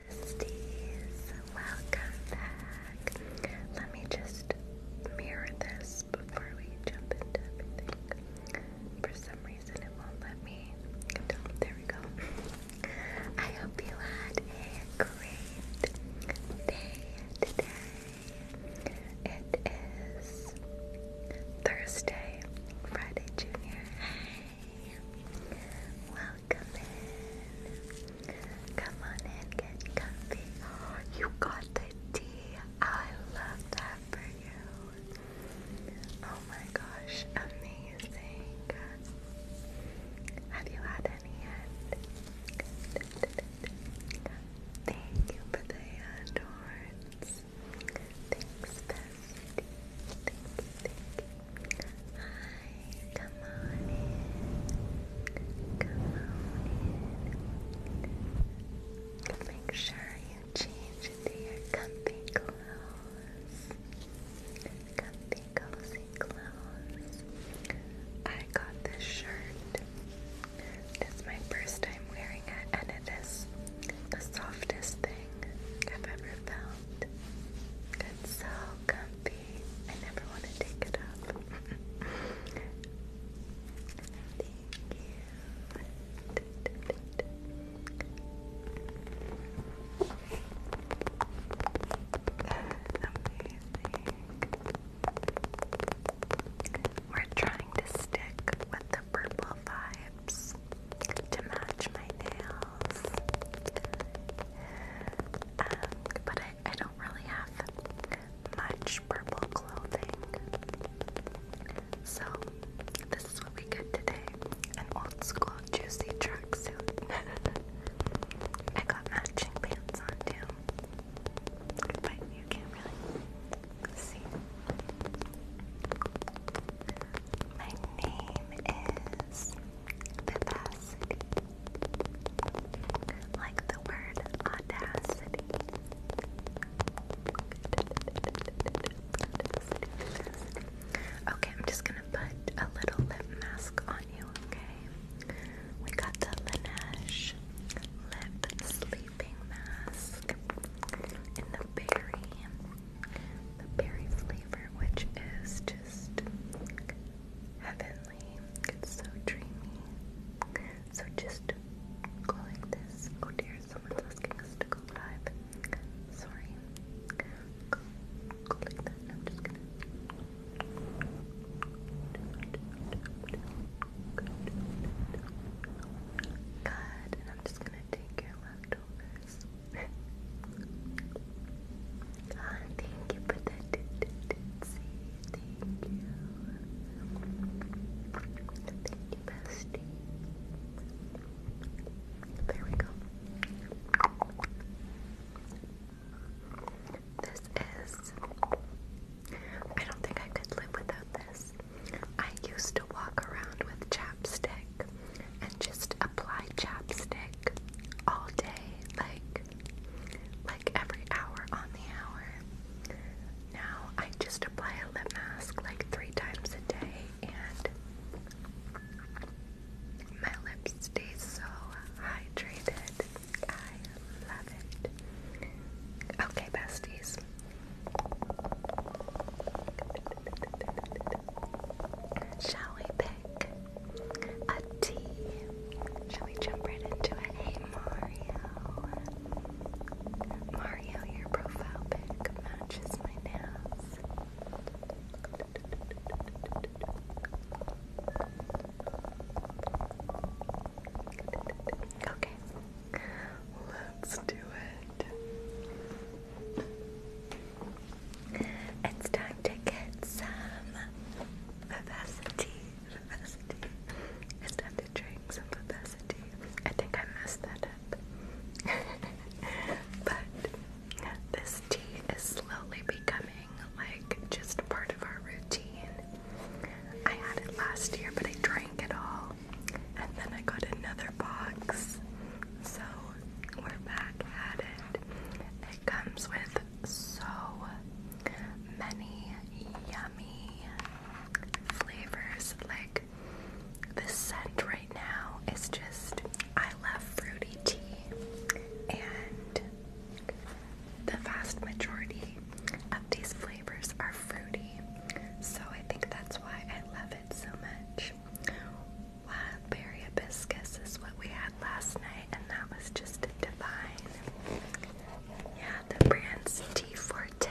Thirsties, welcome back. Let me just mirror this before we jump into everything. For some reason, it won't let me. there we go. I hope you had a great day today. It is Thursday, Friday, Junior. Welcome in. Come on in, get comfy. you got the tea. I love that for you. Oh my gosh, amazing. Have you had any yet? Thank you for the hand Thanks, Hi, come on in. Come on in. Make sure you change into your comfy clothes. Comfy, cozy clothes. I got this shirt. It's my first time wearing it, and it is the softest thing I've ever felt soft. It's so comfy. I never want to take it off. We're trying to stick with the purple vibes to match my nails. Um, but I, don't really have much purple clothing. So, this is what we get today an old school juicy tracksuit. I got matching pants on too. But you can't really see. My name is like the word audacity. Okay, I'm just gonna put a little lip mask on you, okay? We got the Laneige Lip Sleeping Mask in the berry the berry flavor, which is just heavenly. It's so dreamy. So just go this. Oh dear, someone's asking us to go live. Sorry. Go, that. I'm just gonna. Good, and I'm just gonna take your leftovers thank you for that. See, thank you. Thank you, bestie. There we go. This is. I don't think I could live without this. I used to walk around with chapstick and just apply chapstick all day, like like every hour on the hour. Now I just apply a lip mask like three times a day and my lips stay so hydrated. I love it. Okay, besties. Shall we a T. Shall we jump right into it? Hey Mario. Mario, your profile pic matches my nails. Okay, let's do it. It's time to get some vivacity. It's time to drink some vivacity. I think I messed that up. but this tea is slowly becoming like just part of our routine. I had it last year, but I drank it all. And then I got another box. So we're back at it. It comes with so many yummy flavors. Like the scent right now is just, I love fruity tea, and the vast majority of these flavors are fruity. So I think that's why I love it so much. Wildberry uh, hibiscus is what we had last night, and that was just divine. Yeah, the brand's T Forte.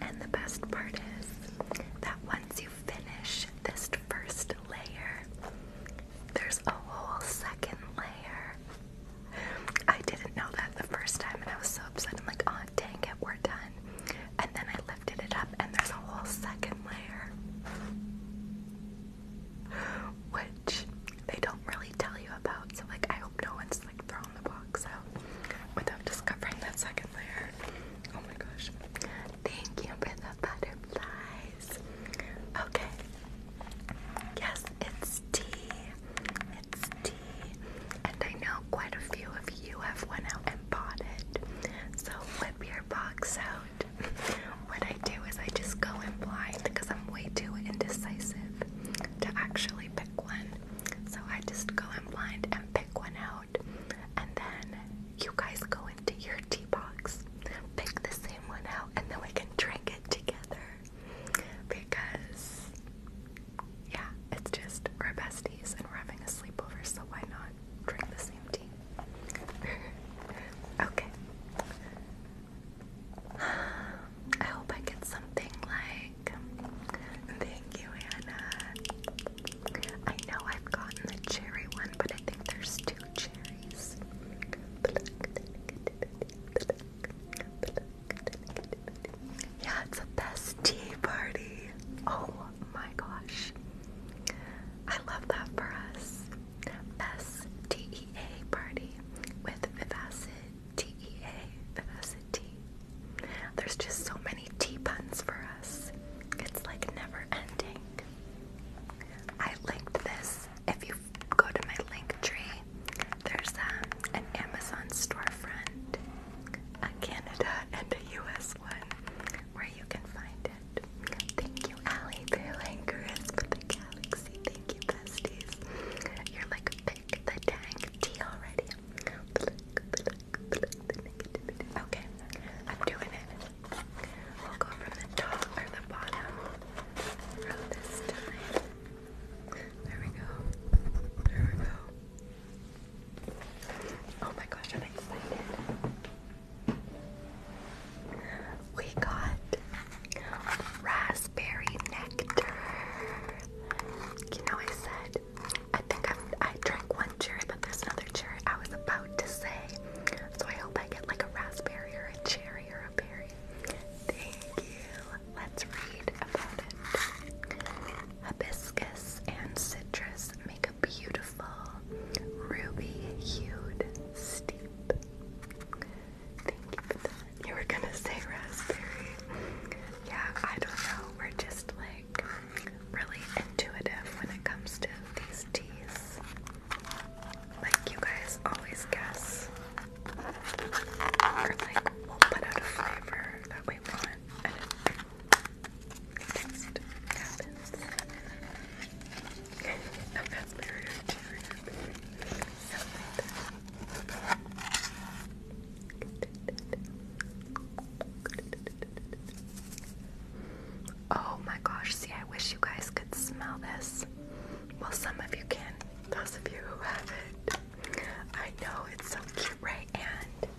And the best part is that once you finish this first layer, there's a whole second layer. I didn't know that the first time, and I was so upset. I'm like, oh, dang it, we're done. And then I left lifted it up, and there's a whole second layer, which they don't really tell you about. So, like, I hope no one's like thrown the box out without discovering that second layer. Oh my gosh! Thank you for the butterflies. Okay. Yes, it's tea. It's and I know quite a few of you have went out and bought it. So whip your box out. what I do is I just go in blind because I'm way too indecisive to actually pick one. So I just go in blind and pick one out, and then you guys go into your tea box, pick the same one out, and then we can drink it together. Because yeah, it's just we're besties and we're having a sleepover, so why not drink the same tea? okay. I hope I get something like. Thank you, Anna. I know I've gotten the cherry one, but I think there's two cherries. Yeah, it's a best tea party. Oh my gosh. I love that for us. STEA party with Vivacid TEA, Vivacid There's just so many tea puns for us. It's like never ending. I linked this. If you go to my link tree, there's um, an Amazon storefront, a Canada and a where you can find it. Thank you, Ali, for Langorous for the galaxy. Thank you, besties. You're like, pick the tank tea already. Okay, I'm doing it. We'll go from the top or the bottom from this time. There we go. There we go. Oh my gosh, I'm excited. We got raspberry nectar. You know, I said, I think i I drank one cherry, but there's another cherry I was about to say. So I hope I get like a raspberry or a cherry or a berry. Thank you. Let's read about it. Hibiscus and citrus make beautiful ruby hued steep. Thank you for that. You were gonna say raspberry. Yeah, I don't know. We're just like really intuitive when it comes to these teas. Like you guys always guess. Or like we'll put out a flavor that we want Oh my gosh, see, I wish you guys could smell this. Well, some of you can, those of you who have it, I know, it's so cute, right? And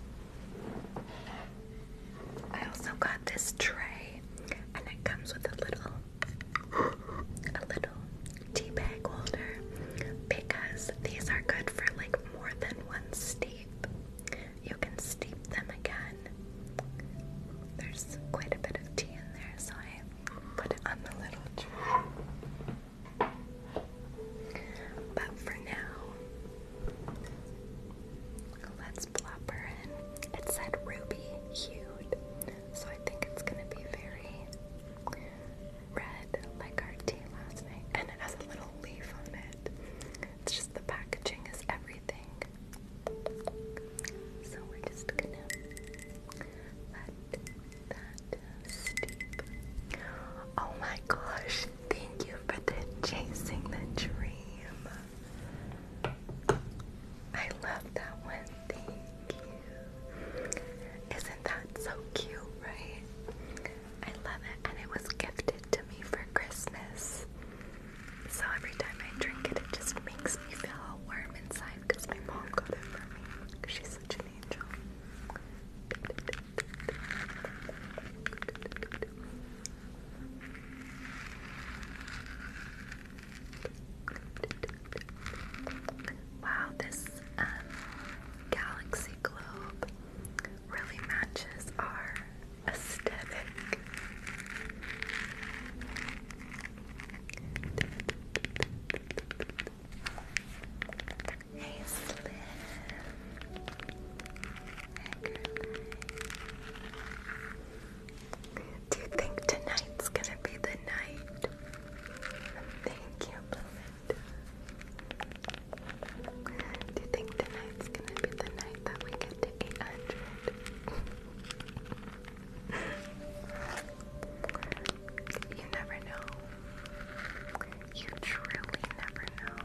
I also got this tray, and it comes with a little, a little tea bag holder because these are good for like more than one steep. You can steep them again. There's quite a bit of tea in there, so I put it on the little tray. But for now, Let's plop her in. It said ruby hued, so I think it's gonna be very red, like our tea last night. And it has a little leaf on it. It's just the packaging is everything. So we're just gonna Oh my gosh, Thank you for the chasing the dream. I love that one. Thank you. Isn't that so cute, right? I love it. And it was gifted to me for Christmas. So every time I drink it, it just makes me feel warm inside because my mom got it for me. She's such an angel. Wow, this um, galaxy globe really matches our aesthetic. Hey, Slim. Do you think tonight's gonna be the night? Thank you, Do you think tonight's gonna be the night that we get to 800? you never know. You truly never know.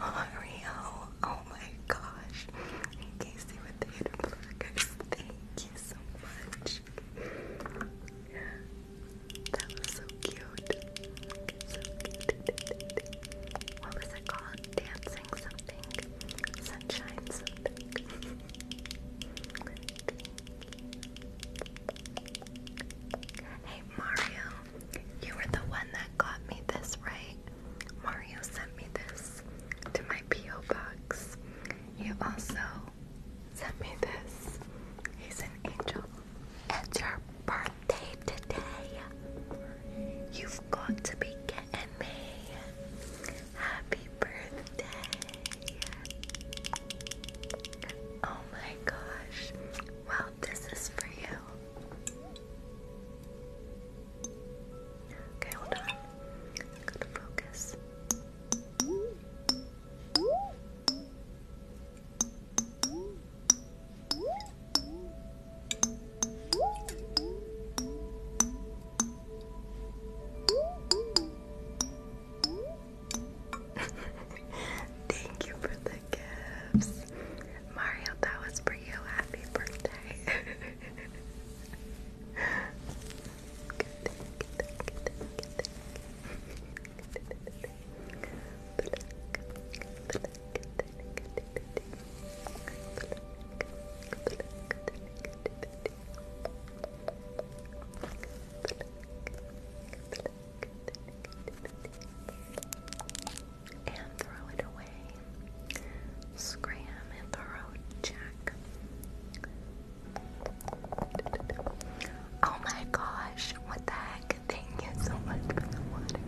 Mario, oh my gosh. Casey with the hidden Thank you so much. That was so cute. What was it called? Dancing something. Sunshine something. Hey Mario, you were the one that got me this, right? Mario sent me this to my P.O. box. You also sent me this. He's an angel. It's your birthday today. You've got to be getting me. Happy birthday. Oh, Oh my gosh. Well, this is for you. Okay, hold on. Go to focus. Thank you for the gifts. Mario, that was for you. Happy birthday. and throw it away. Scram and throw Jack. Oh my gosh, what the heck? Thank you so much for the water.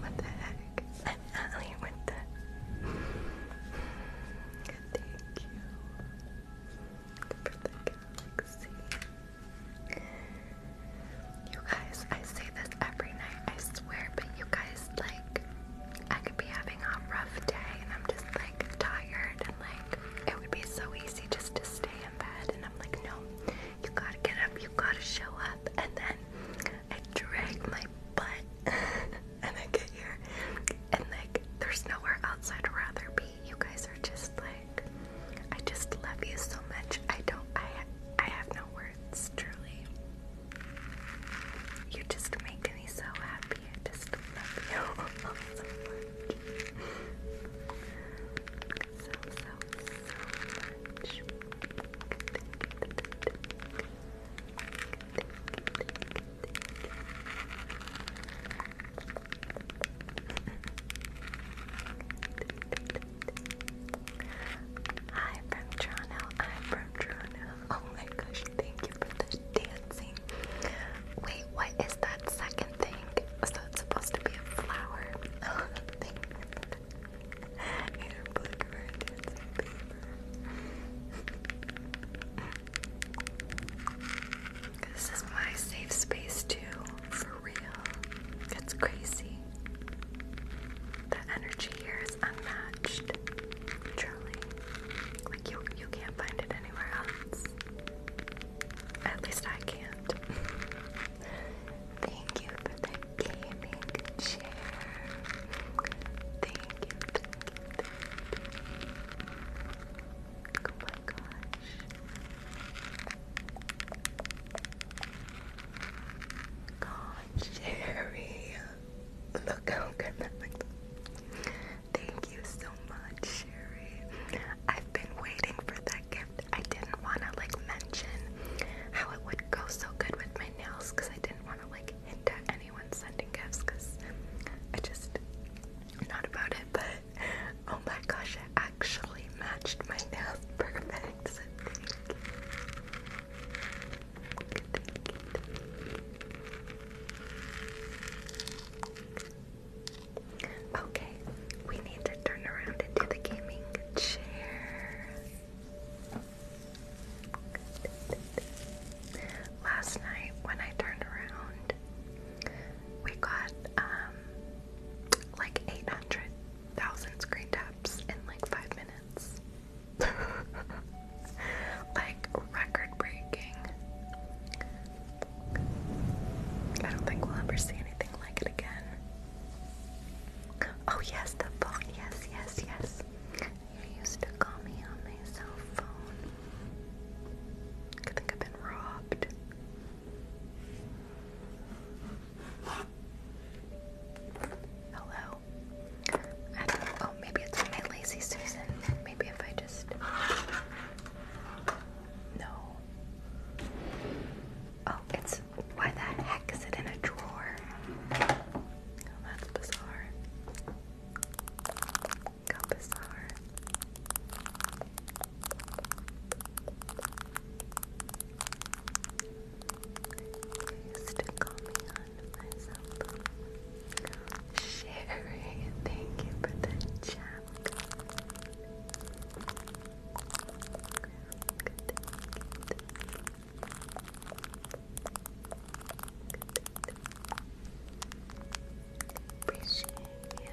What the heck? I'm Allie the Thank you. For the galaxy. You guys, I say this every night, I swear, but you guys, like, I could be having a rough day and I'm just, like, tired and, like, it would be so easy just to stay in bed. And I'm like, no, you gotta get up, you gotta show up. And then I drag my butt and I get here and, like, there's nowhere outside i rather be. You guys are just, like, I just love you so much. I don't, I, I have no words, truly. You just make me so happy. I just love you so much. Hi from Toronto. I'm from Toronto. Oh my gosh, thank you for the dancing. Wait, what is that second thing? So it's supposed to be a flower. Oh, thank you. Either blackberry dancing paper. This is my safe space too, it's crazy. The energy here is unmatched. Truly. Like you you can't find it anywhere else. At least I can't. Thank you for the gaming chair. Thank you, thank you, oh God, Sherry. Look how good that looks. Thank you so much, Sherry. I've been waiting for that gift. I didn't want to like mention how it would go so good with my nails because I didn't want to like hint at anyone sending gifts because I just, not about it, but oh my gosh, it actually matched my nails perfectly. Okay, we need to turn around and do the gaming chair. Last night when I turned around, we got um like 800,000 screen taps in like five minutes. like record breaking. I don't think we'll ever see anything like it again. Oh, yes, the phone. Yes, yes, yes. You used to call me on my cell phone. I think I've been robbed. Hello? Oh, maybe it's my lazy Susan. Maybe if I just. No. Oh, it's. Why the heck is it in a drawer? Oh, that's bizarre. How Please do call me on myself. Sherry, thank you for the chat. Appreciate you.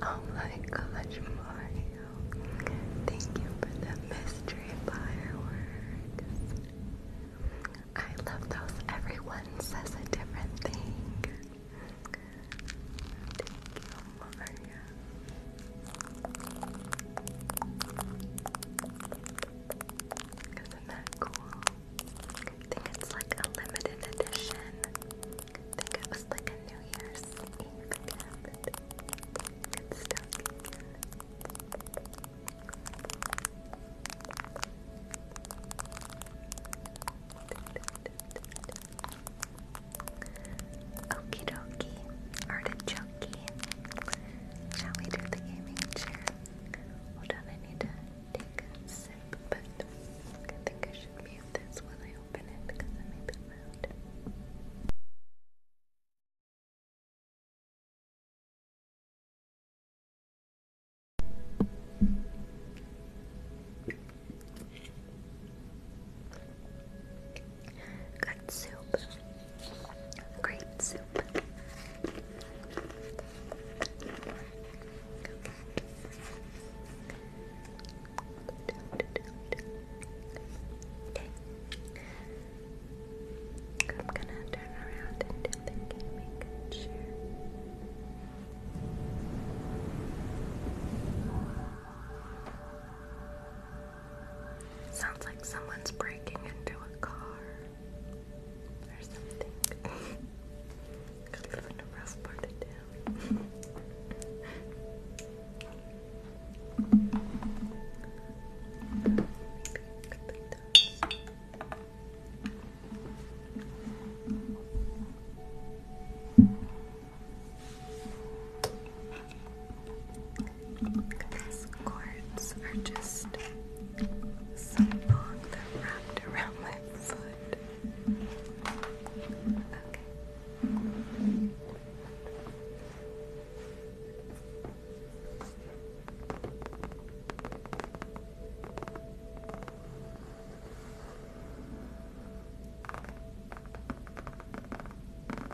Oh my gosh, Mario. Thank you for the mystery fireworks. I love those. Everyone says a different thing. Thank you, think it's like a limited edition. think it was like a New Year's Eve gift. It's still Okie dokie, artichoke. Shall we do the gaming chair? Hold on, I need to take a sip, but I think I should mute this while I open it because it may be loud. Good soup. Great soup. Okay. I'm gonna turn around and do the gaming chair. Okay. Sounds like someone's breaking into a car or something. Could live in a rough part of town. Maybe These cords are just so long, they're wrapped around my foot. Okay.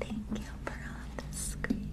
Thank you for all the screen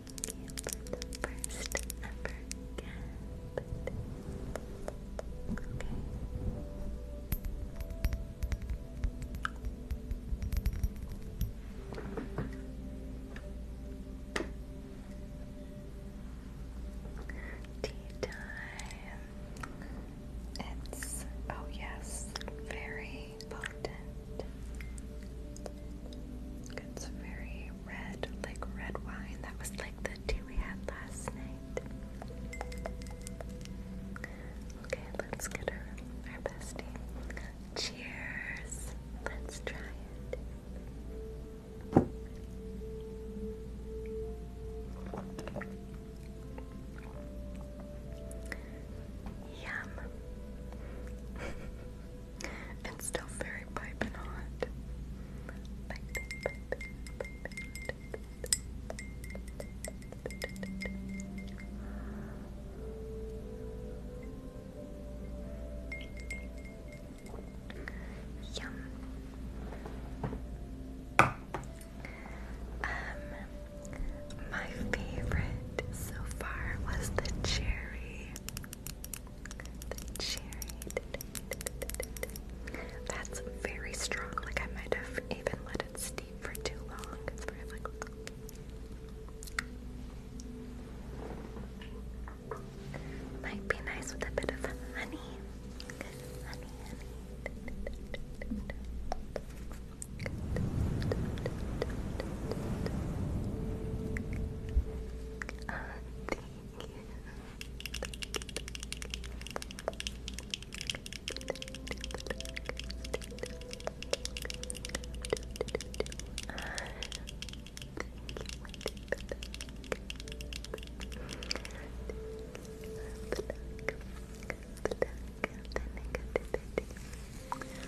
you first ever cat. Okay. Tea time. It's, oh yes, very potent. It's very red, like red wine. That was like the tea we had last night. Okay, let's get our, our bestie. Cheers! Let's try it. Yum. And still very piping hot. Yum. Um, my favorite so far was the cherry. The cherry. That's very strong. Like I might have even let it steep for too long. Might be nice with a bit of honey. Black, black, the negativity.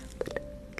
Black,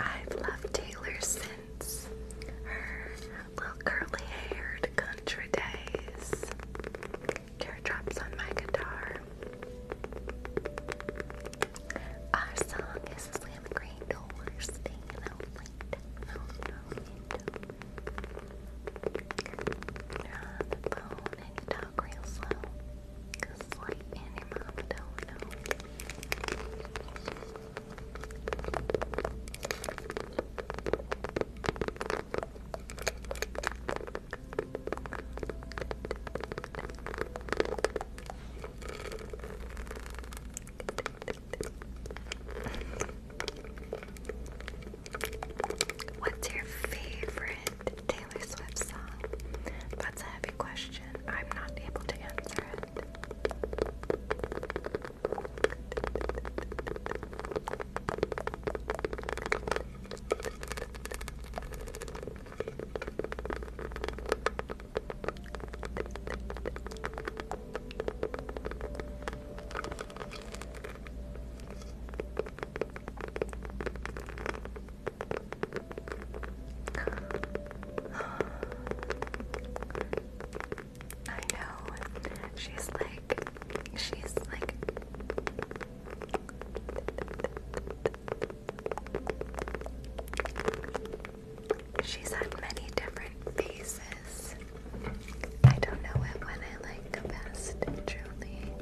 I've loved Taylor since her little curly haired country days. Teardrops on my guitar. Our song is Slim Green Doors, staying out late, out late. Grab the phone and talk real slow. Cause like and don't know. What's your favorite Taylor Swift song? That's a heavy question. I'm not able to answer it. I know. She's like, she's like. She's had many different phases I don't know what one I like best, truly.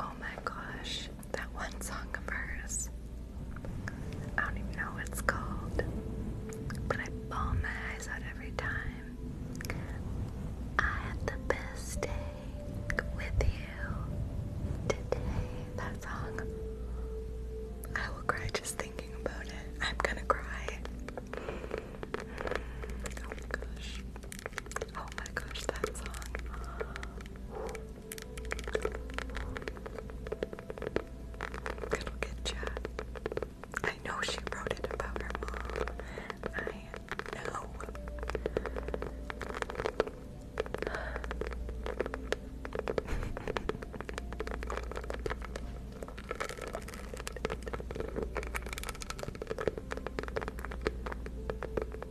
Oh my gosh, that one song of hers. I don't even know what it's called, but I bawl my eyes out every time. I had the best day with you today. That song. I will cry just thinking about it. I'm gonna cry. Oh my gosh. Oh my gosh, that song. It'll get I know she wrote it about her mom. I know.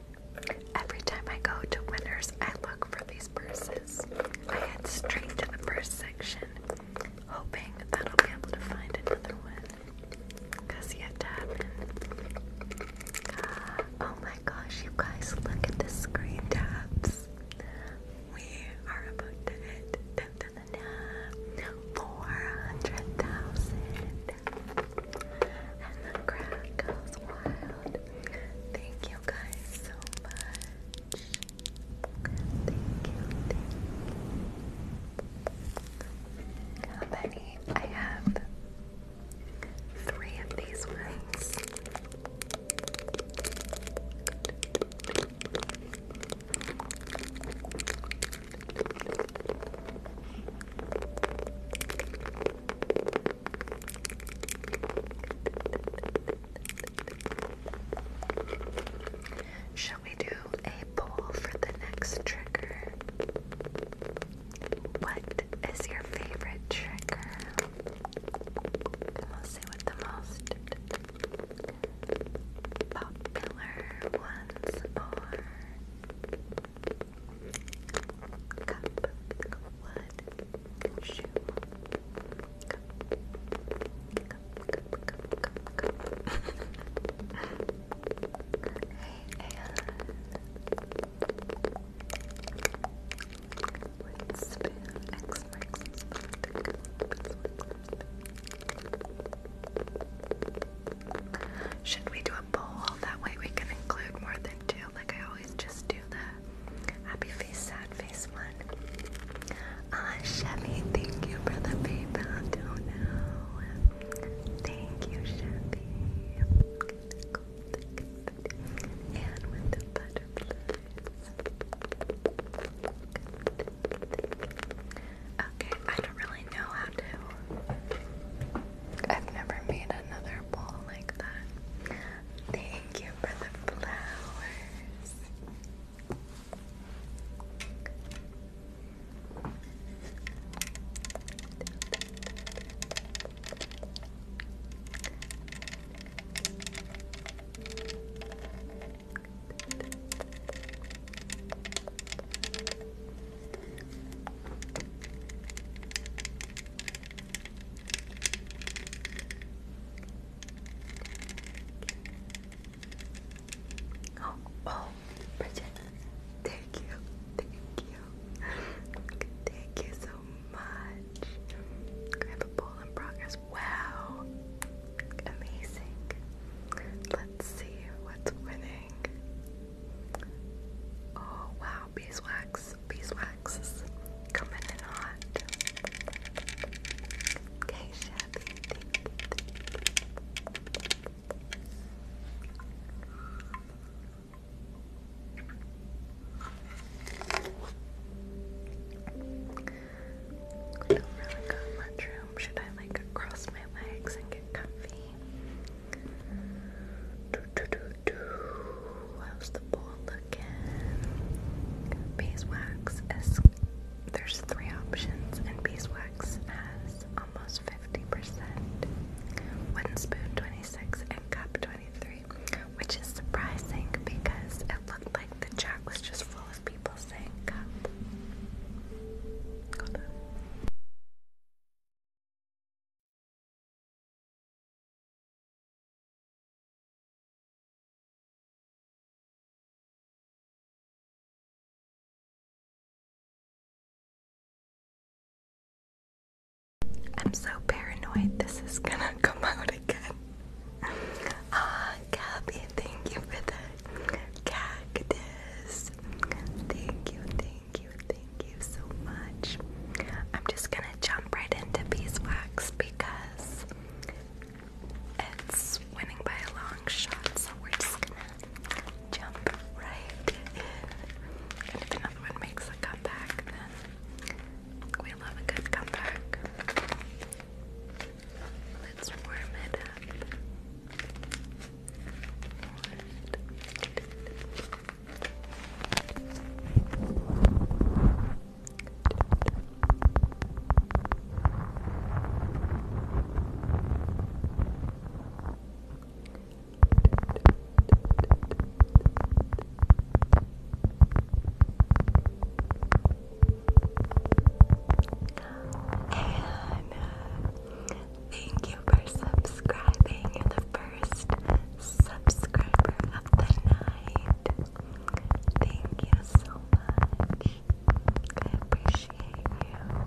Every time I go to Winners, I look for these purses. I head straight to the purse section, hoping that I'll be able to find another one. Cause yet to ah, Oh my gosh, you guys, look at the screen tabs. We are about to hit 400,000. And the crowd goes wild. Thank you guys so much. How many? I have three of these ones. Shall we do a poll for the next trigger? What is your favorite trigger? And we see what the most popular ones are. Should we do a poll? That way we can include more than two like I always just do the happy face, sad face one. Ah, Chevy, thank you for the PayPal. Don't know. Thank you, Chevy. Okay, I don't really know how to. I've never made another bowl like that. Thank you for the flowers. Oh, oh, Bridget, thank you, thank you, thank you so much. I have a poll in progress. Wow, amazing. Let's see what's winning. Oh, wow, beeswax, beeswax coming in hot. Okay, Should I like cross my legs and get comfy? Do, do, do, How's the ball looking? Beeswax is. There's three options, and beeswax has almost 50%. Wooden spoon 26 and cup 23, which is surprising because it looked like the chat was just full of people saying cup. I'm so paranoid this is gonna come out again. Ah, uh, thank you for the cactus. Thank you, thank you, thank so much. I'm just gonna jump right into beeswax because it's winning by a long shot, so we're just gonna jump right in. And if another one makes a comeback, then we love a good comeback. Let's warm it up. And uh, thank you for subscribing in the first first subscriber of the night. Thank you so much. appreciate you.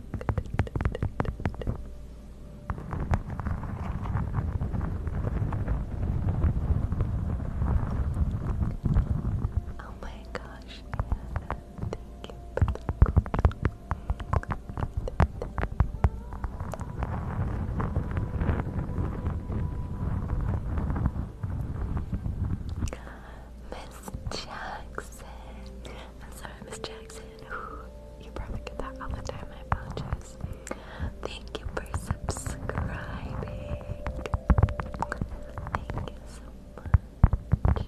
Oh my gosh, Miss Jackson. I'm sorry, Miss Jackson. you probably get that all the time. I apologize. Thank you for subscribing. Thank you so much.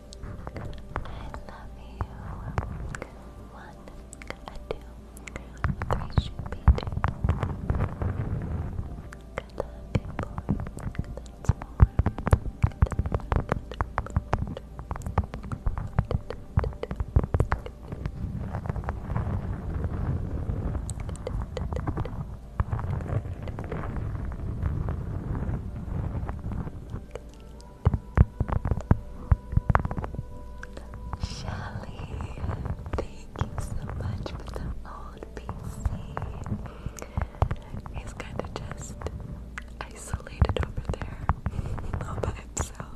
love you. One, a two, three should be two. Good love, people. That's more. Good Good, Shelly, thank you so much for the old PC. He's kind of just isolated over there all by himself.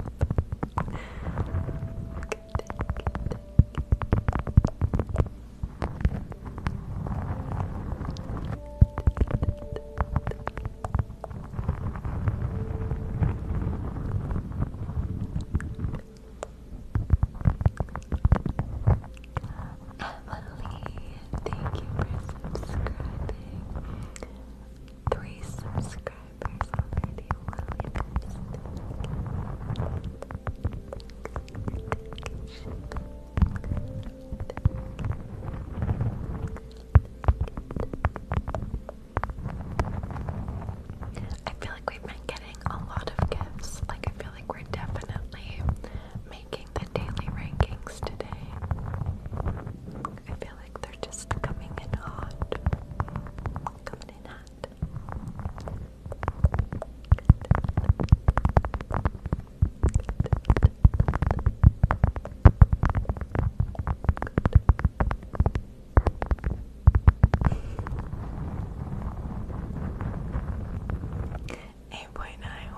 Emily, thank you for subscribing. Three subscribers already. Really nice. I feel like we've been getting a lot of gifts. Like, I feel like we're definitely making the daily rankings today. I feel like they're just coming in hot. Coming in hot. 8.9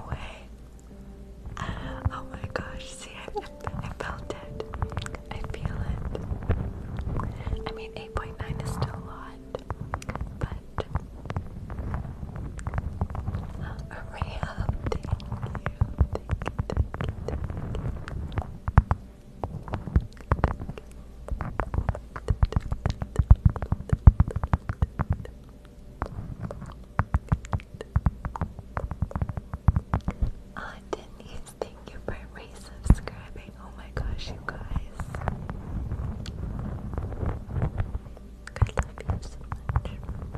away. oh my gosh, see, I, felt it. I feel it. I mean, 8.9 is still a lot, but uh, me up. Thank you. you. Ah, thank you. Thank you. Oh my gosh, you guys. I love you so much.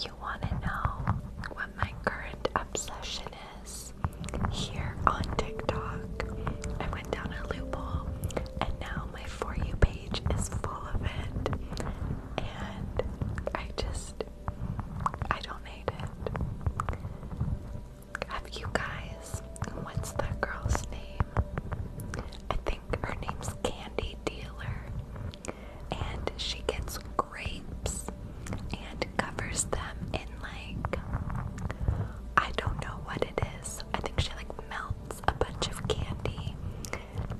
You want to know what my current obsession is? Here on TikTok, I went down a loophole, and now my For You page is full of it. And I just, I don't hate it. Have you guys, what's that girl's name? I think her name's Candy Dealer, and she gets grapes and covers them in like I don't know what it is. I think she like melts a bunch of candy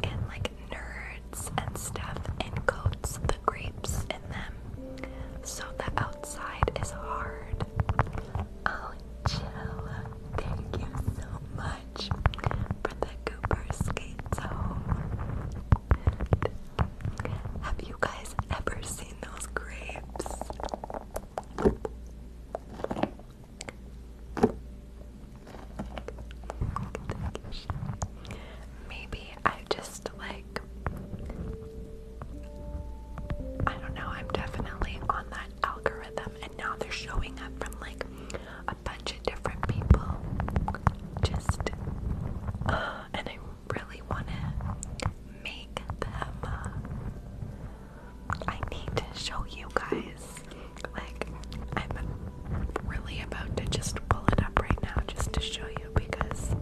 and like nerds and stuff and coats the grapes in them so the outside is hard. Oh, thank you so much for the Cooper Have you guys ever seen those grapes? Maybe I just like. I don't know, I'm definitely on the algorithm, and now they're showing up from like a bunch of different people. Just, uh, and I really want to make them. Uh, I need to show you guys. Like, I'm really about to just pull it up right now just to show you because.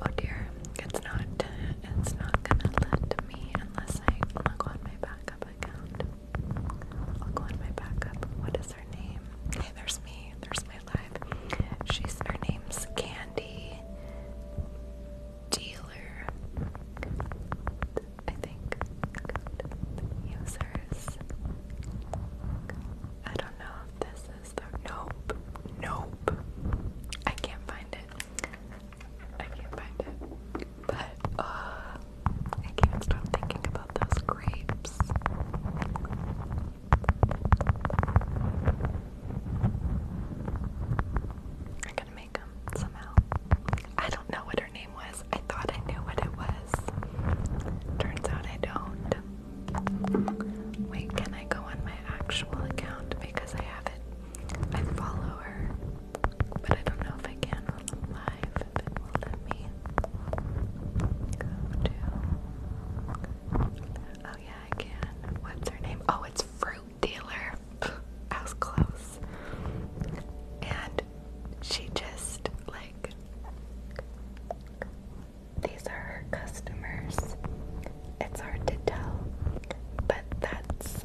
Oh dear, it's not. It's not gonna let me Unless I I'll go on my backup account. I'll go on my backup. What is her name? Hey, there's me. There's my live. She's her name's Candy Dealer. I think users. I don't know if this is the nope. Nope. I can't find it. I can't find it. But uh, I can't stop thinking about those grapes. I'm gonna make them somehow. I don't know what her name was. I thought I knew what it was. Turns out I don't. Wait, can I go on my actual account because I have it? I follow her but I don't know if I can I'm live, if will let me go to. Oh, yeah, I can. What's her name? Oh, it's Fruit Dealer. I was close. And she just, like, these are her customers. It's hard to tell but that's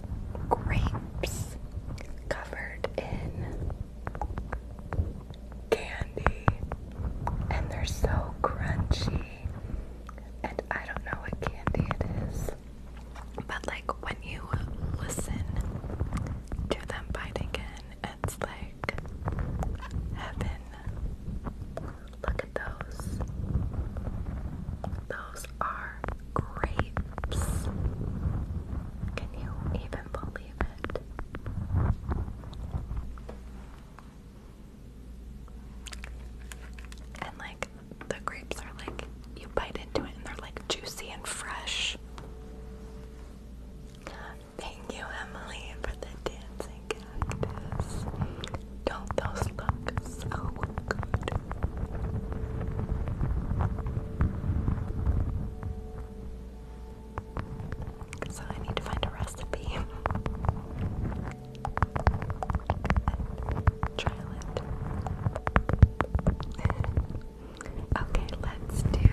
grapes covered in candy, and they're so crunchy. And I don't know what candy it is, but like when you listen to them biting in, it's like heaven. Look at those. Those are grapes. Can you even believe it? And like the grapes are like you bite into it and they're like juicy and fresh. Thank you, Emily, for the dancing Don't those look so good. So I need to find a recipe and it. okay, let's do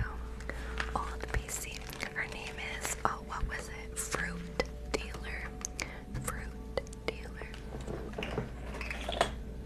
old PC. Her name is oh, what was it? Fruit dealer. Fruit dealer.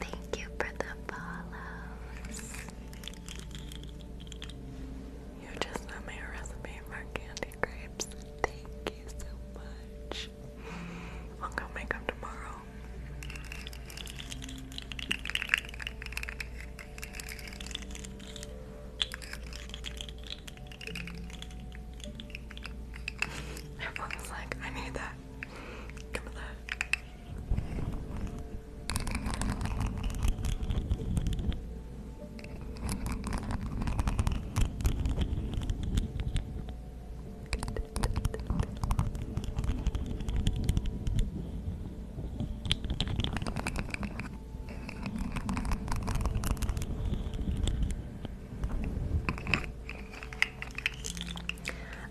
Thank you for the follows. You just sent me a recipe for candy grapes. Thank you so much. I'll go make them tomorrow. Everyone's like, I need that. Give me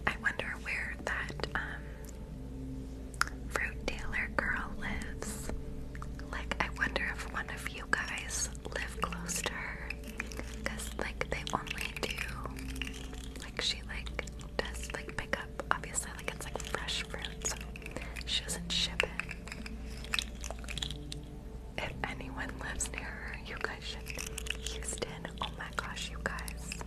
I wonder where that um, fruit dealer girl lives. Like, I wonder if one of you guys live close to her, like they only do, like she like does like pick up, obviously, like it's like fresh fruit, so she doesn't ship it. If anyone lives near her, you guys should. Houston, oh my gosh, you guys.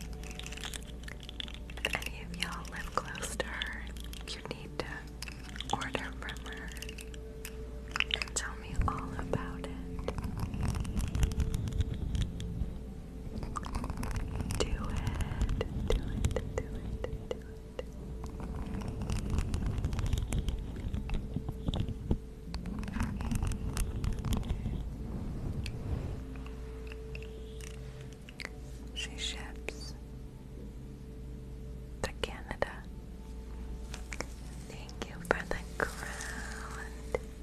If any of y'all live close to her, you need to order from her tell me all about it. Do it, do it, do it, do it. She ships to Canada. Thank you for the ground.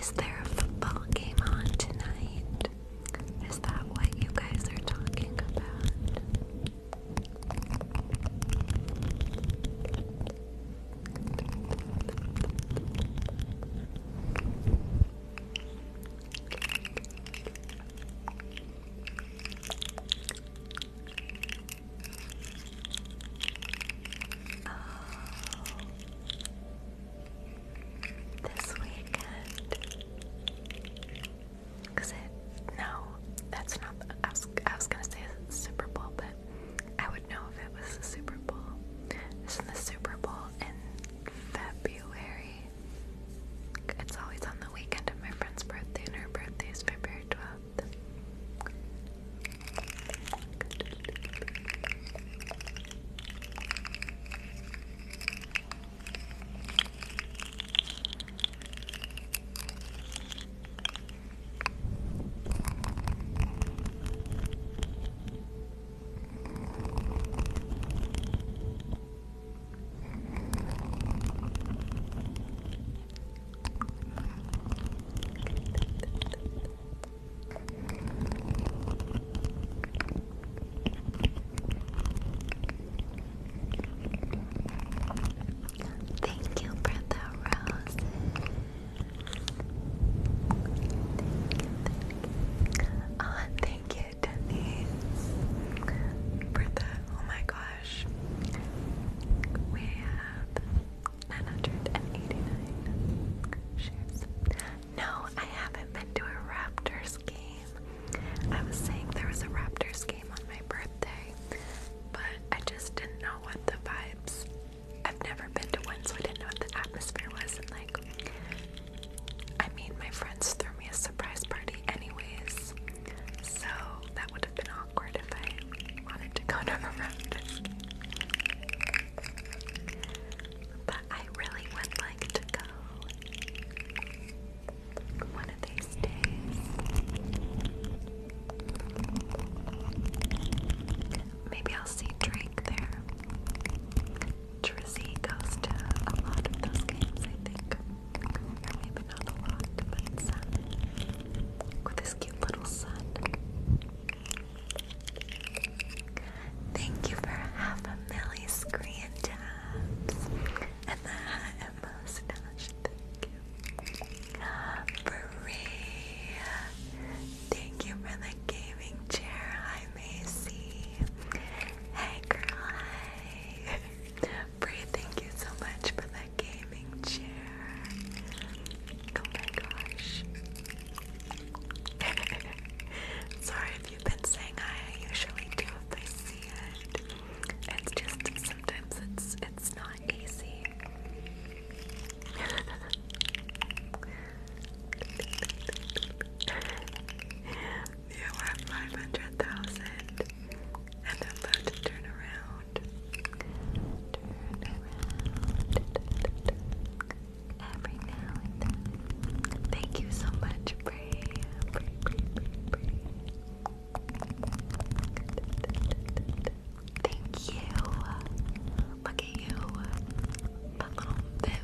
Is there a football game on tonight? Is that what you guys are talking about? Oh. This weekend. Cause it no, that's not. I was I was gonna say Super Bowl, but I would know if it was the Super Bowl. Isn't the Super Bowl in February? It's always on the weekend of my friend's birthday, and her birthday is February 12th. Thank you for the roses. Oh, thank you, ah, oh my gosh. We have 989 No, I haven't been to a Raptors game. I was saying there was a Raptors game on my birthday, but I just didn't know what the vibes. I've never been to one, so I didn't know what the atmosphere was and like I made my friends throw me a surprise party, anyways, so that would have been awkward if I wanted to go to a round. But I really would like to go one of these days. Maybe I'll see Drake there. Drizzy goes to a lot of those games, I think. maybe not a lot, but With his cute little son. Thank you for half a milli screen tabs. And the hat and mustache. Thank you. Bree. Thank you for the gaming chair. Hey, girl, Bree, thank you so much for the gaming chair. Oh my gosh. Sorry if you've been saying I usually do if I see it. It's just sometimes it's it's not easy. You are 500,000 and I'm to turn around. Turn around. Every now and then. Thank you so much, Bray. Thank you. Look at you. A little biff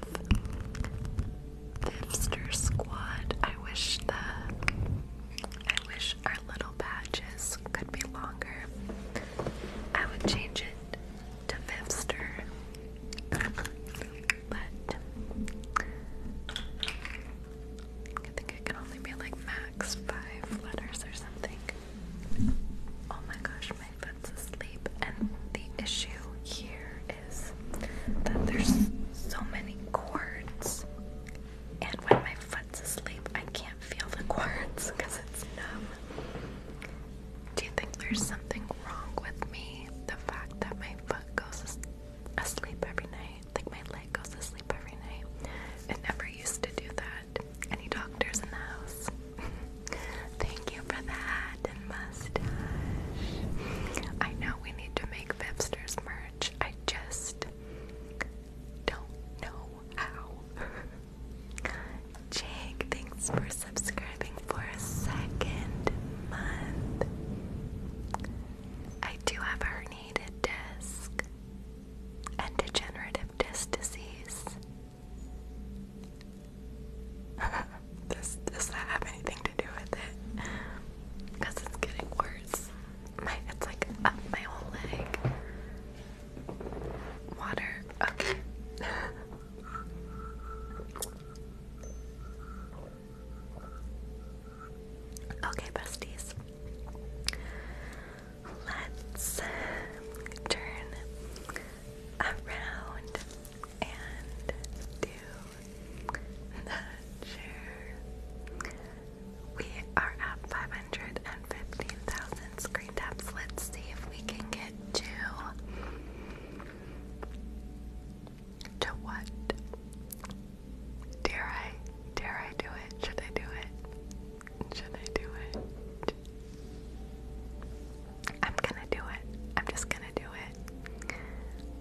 the squad. I wish the I wish our little badges could be longer. I would change it to Vivster. But I think it can only be like max five letters or something. Oh my gosh, my foot's asleep. And the issue here that there's so many cords, and when my foot's asleep, I can't feel the cords because it's numb. Do you think there's something wrong with me? The fact that my foot goes asleep every night, like my leg goes asleep every night. It never used to do that. Any doctors in the house? Thank you for that and I know we need to make Vipster's merch. I just don't know how. Jake, thanks for subscribing for a second month. I do have herniated disc and degenerative disc disease. does, that have anything to do with it? Because it's getting worse. it's like my whole leg. Water. Okay. okay, besties. Let's turn around and do the share. We are at 515,000 screen taps. Let's see if we can get to to what? Dare I? Dare I do it? Should I do it? Should I do it? I'm gonna do it. I'm just gonna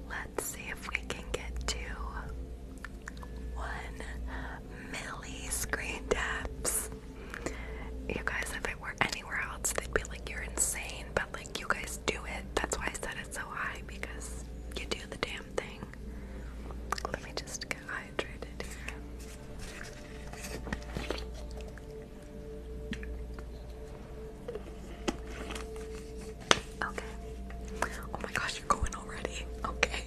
Let's see if we can get to one milli screen taps. You guys, if it were anywhere else, they'd be like, you're insane, but like, you guys do it. That's why I said it's so high, because you do the damn thing. Let me just get hydrated here. Okay. Oh my gosh, you're going already. Okay.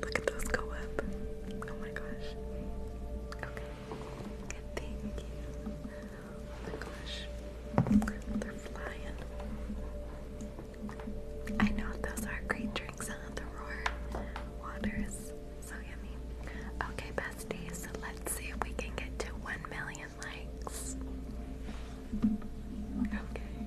Look at those go Oh my gosh. Okay. Good, thank Oh my gosh. They're flying. I know those are great drinks, huh? The roar water is so yummy. Okay, besties, let's see if we can get to 1 million million likes. Okay. Okay.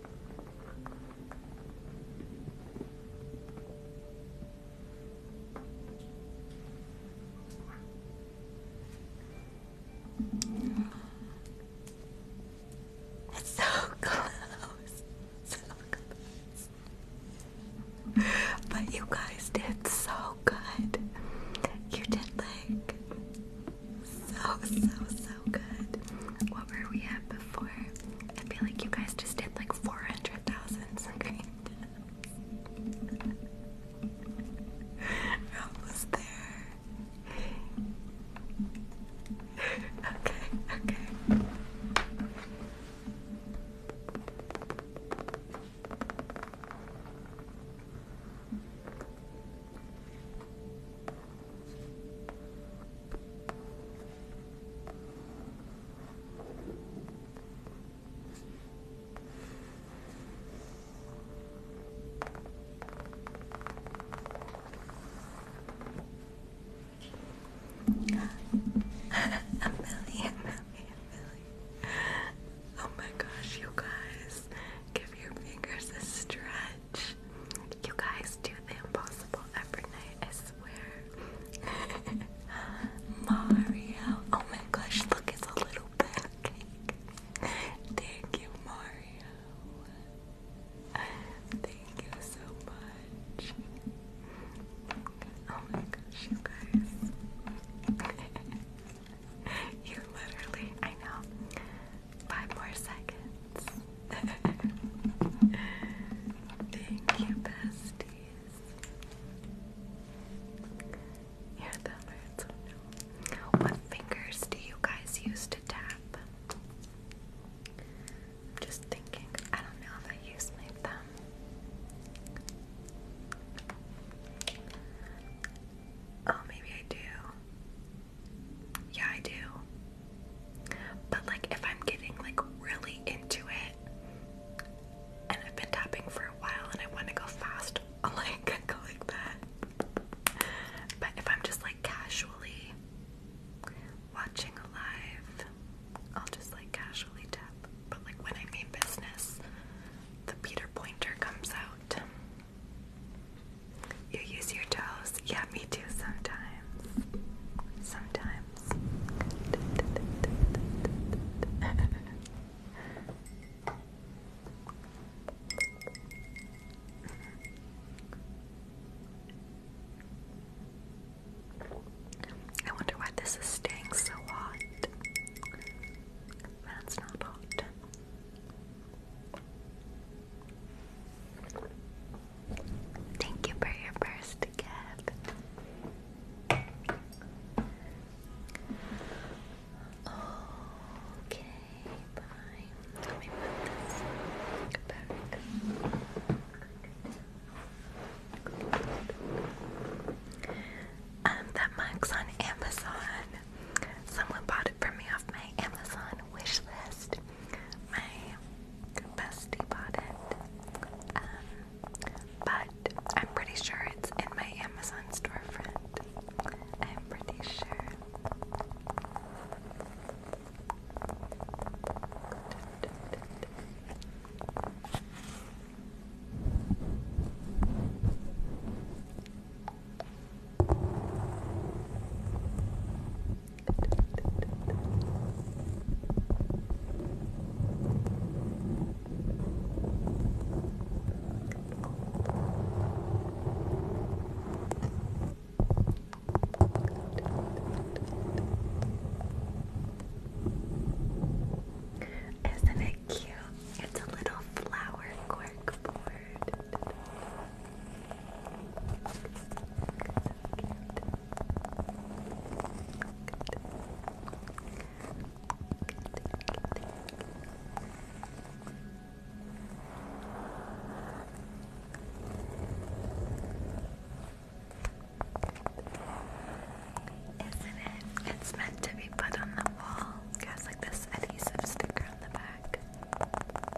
It's so close. So close. But you guys did so good. You did like so, so, so good. What were we at before? I feel like you guys just did like 400,000 almost there. okay. Okay, a million, million, million. Oh my gosh, you guys. Give your fingers a stretch. You guys do the impossible every night, I swear. Mario. Oh my gosh, look, it's a little pancake. Thank you, Mario. Thank you so much. Oh my gosh, you guys. you literally, I know. Five more seconds. Thank you, besties. Hear that hurts. Oh, What fingers do you guys use to tap? just thinking. I don't know if I use my thumb. Oh, maybe I do. Yeah, I do. But like if I'm getting like really into it and I've been tapping for a while and I want to go fast, I'll like go like that. But if I'm just like casually watching a live, I'll just like casually tap. But like when I mean business, the Peter Pointer comes out. You use your toes? Yeah, me too sometimes. Sometimes. I wonder why this is staying so hot. That's not hot. Thank you for your first gift. Okay, bye. Let me put this back. Um, that mug's on Amazon. Someone bought it for me off my Amazon on wish list. My bestie bought it, um, but I'm pretty sure it's in my Amazon storefront. I'm pretty sure. Isn't it cute? It's a little flower cork isn't it? It's meant to be put on the wall. It has like this adhesive sticker on the back.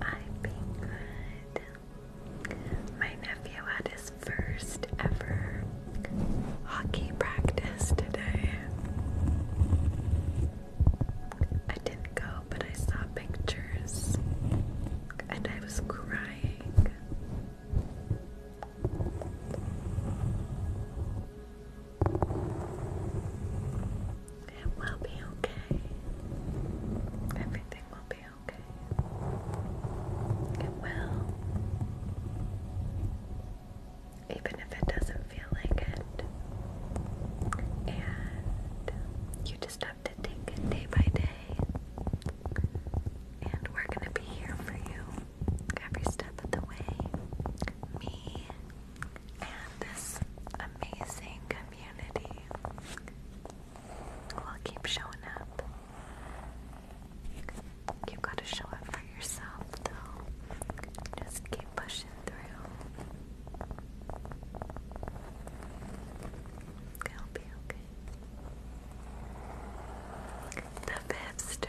I've been good. My nephew had his first ever hockey practice today. I didn't go, but I saw pictures and I was crying. It will be okay. Everything will be okay. It will. Even if it doesn't feel like it. And you just have to take it day by day. And we're going to be here for you every step of the way, me and this amazing community will keep showing up. You've got to show up for yourself, though. Just keep pushing through. It'll be okay. The Fibster.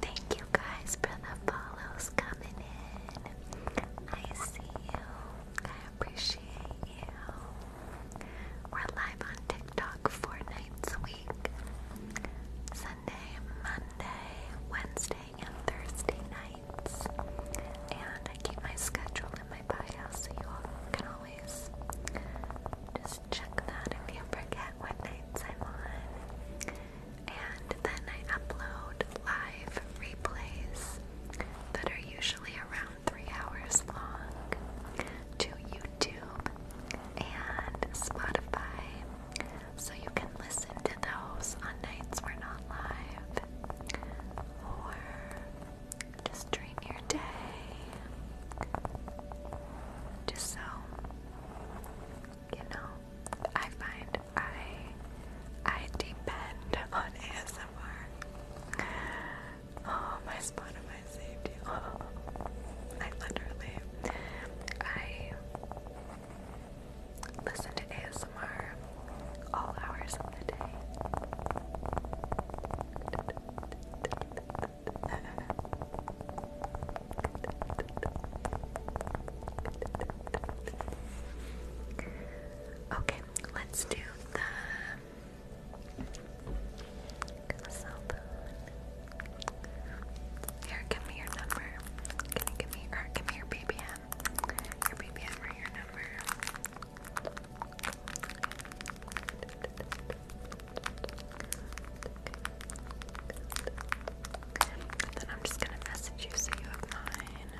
Thank you guys for the follows coming in. I see you. I appreciate you. We're live on TikTok four nights a week Sunday, Monday, Wednesday, and Thursday nights. And I keep my schedule in my bio so you all can always always. Just check that if you forget what nights I'm on. And then I upload live replays that are usually around three hours long to YouTube and Spotify. So you can listen to those on nights we're not live. Or just dream your day. Just so you know, I find I I depend on ASMR. Oh, my spot of my safety. Oh, I literally I listen to ASMR all hours of the day. Okay, let's do the cell Here, give me your number. you give me or give me your BBM? Your BBM or your number then I'm just gonna message you so you have mine.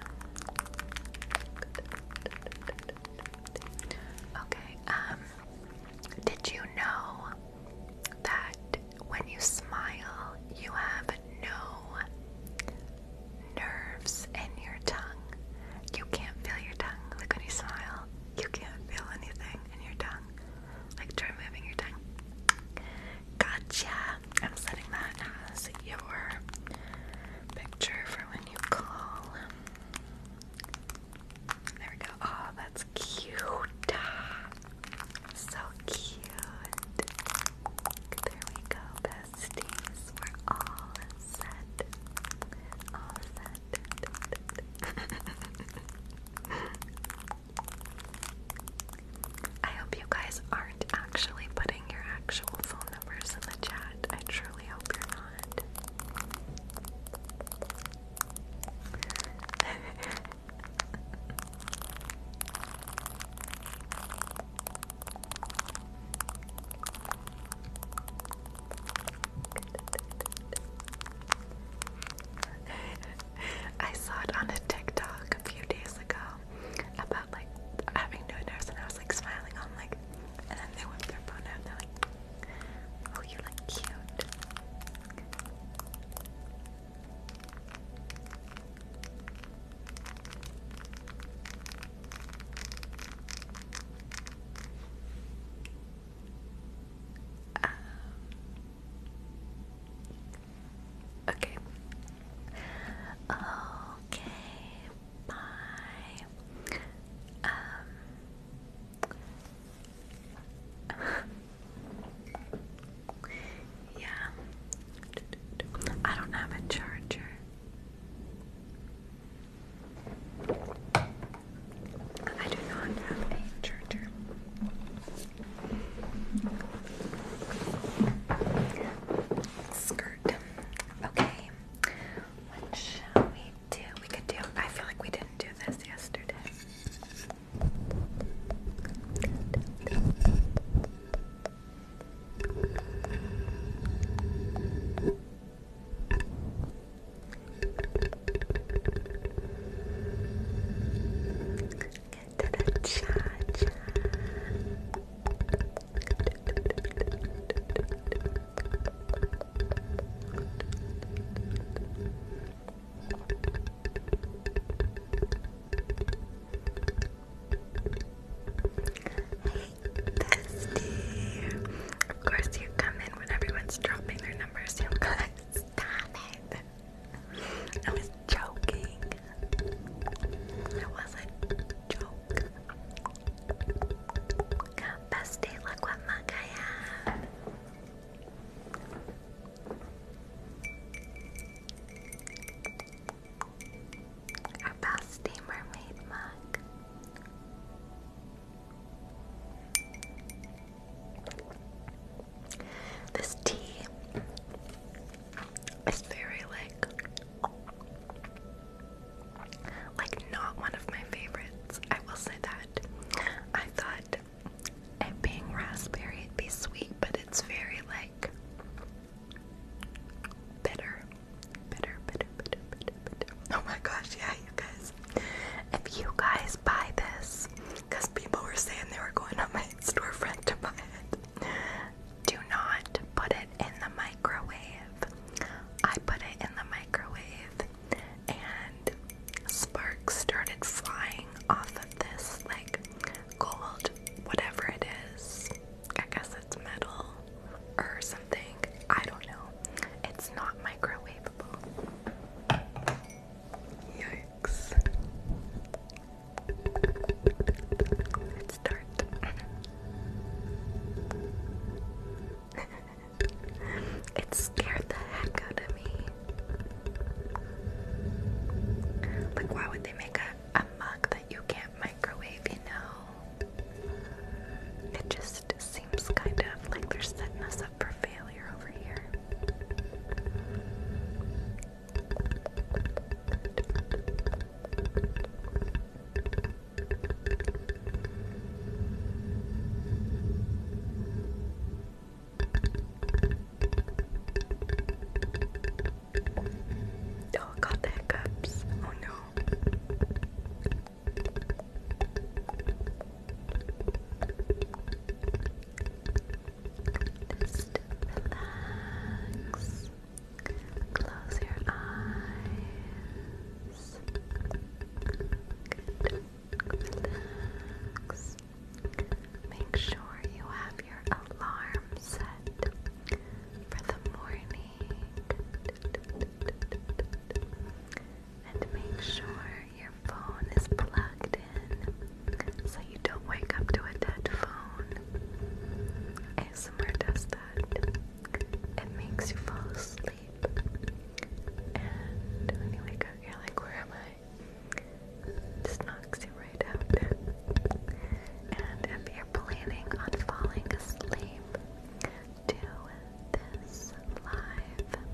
Okay, um, did you know that when you smile, you have no nerves in your tongue? You can't feel your tongue. Like when you smile, you can't feel anything in your tongue. Like try your tongue. Gotcha. I'm setting that as your picture for when you call. There we go. Oh, that's cute. So cute. There we go, besties. we all set. All set. I hope you guys aren't actually putting your actual phone numbers in the chat. I truly hope you're not. I saw it on a TikTok a few days ago about like having new nurse and I was like smiling on like and then they whipped their phone out and they're like, Oh you look cute um, okay. Okay. Bye. Um, yeah. I don't have a charger. I do not have a charger. Skirt. Okay. What shall we do? We could do. I feel like we didn't do this yesterday. Get to the cha Hey, bestie. Of course, you come in when everyone's dropping their numbers. You guys, stop it. I was joking. It was a joke. Bestie, look mug Our bestie mermaid mug. This tea is very like like not one of my favorites. I will say that. I thought it being raspberry it'd be sweet, but it's very like bitter. Bitter, bitter, bitter, bitter, bitter. Oh my gosh, yeah, you guys if you guys buy this, because people were saying they were going to my storefront to buy it, do not put it in the microwave. I put it in the microwave and sparks started flying off of this like gold, whatever it is. I guess it's metal or something. I don't know. It's not microwavable. Yikes. It's let it scared the heck out of me. Like, why would they make a mug that you can't microwave, you know? It just seems kind of like they're setting us up for failure familiar over Oh, got the hiccups. Oh no. Just Close your eyes. Make sure you have your alarm set for the morning. And make sure your phone is plugged in so you don't wake up to a dead phone. And somewhere does that. It makes you fall asleep. And when you wake up, you're like, where am I? just knocks you right out. And if you're planning on falling asleep to this live,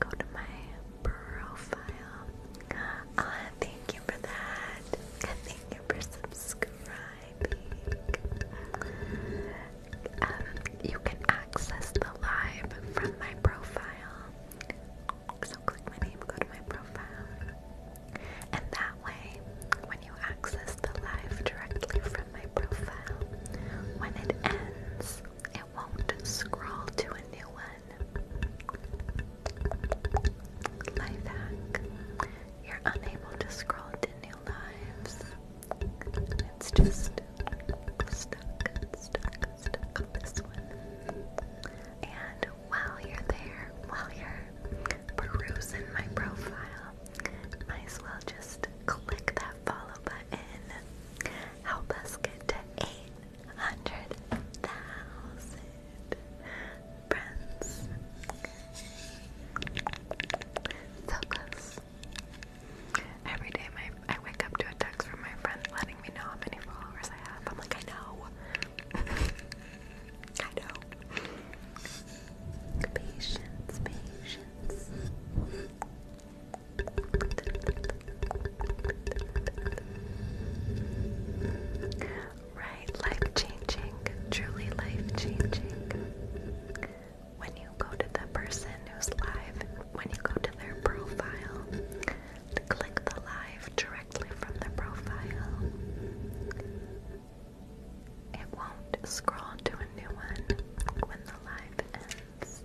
go to my profile Ah, thank you for that. Thank you for subscribing. you can access the live from my profile. So click my name, go to my profile. And that way, when you access the live directly from my profile, when it ends, it won't scroll to a new one fun life hack. You're unable to scroll to new lives. It's just stuck, stuck, stuck on this one. And while you're there, while you're perusing my profile, might as well just click that follow button. Help us get to eight hundred thousand friends. So Every day I wake up to a text from my friend letting me know how many followers I have. I'm like, I know. I know. Patience, patience. Right, life changing, truly life changing. When you go to the person who's live, when you go to their profile, click the live directly from the profile. It won't scroll to a new one when the live ends.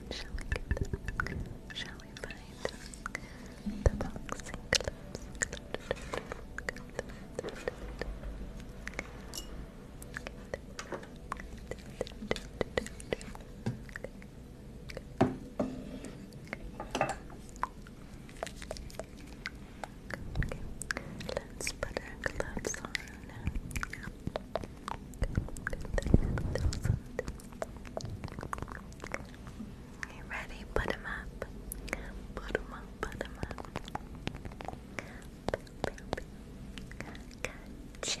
shall we get, shall we find the boxing clips? let's put our gloves on. You ready? Put up. Put up, put up. Gotcha.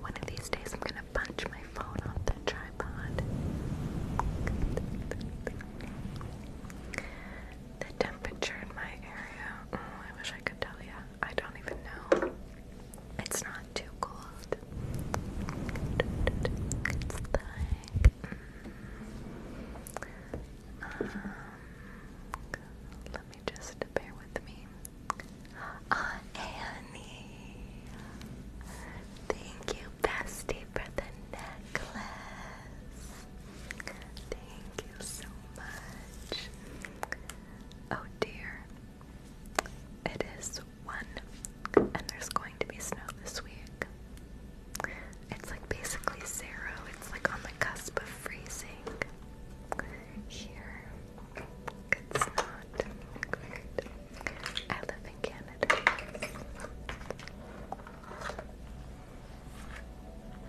One of these days, I'm gonna punch my phone off the tripod. The temperature in my area. Oh, I wish I could tell you. I don't even know. It's not too cold. It's like um, let me just bear with me. Ah, Annie, thank you, bestie, for the necklace. Thank you so much. Oh dear. It is one, and there's going to be snow this week. It's like basically zero, it's like on the cusp of freezing. Here, it's not great. I live in Canada.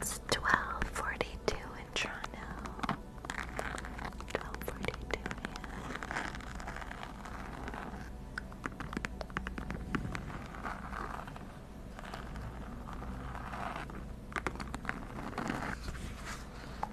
It's twelve forty two in Toronto. Twelve forty two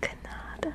Canada.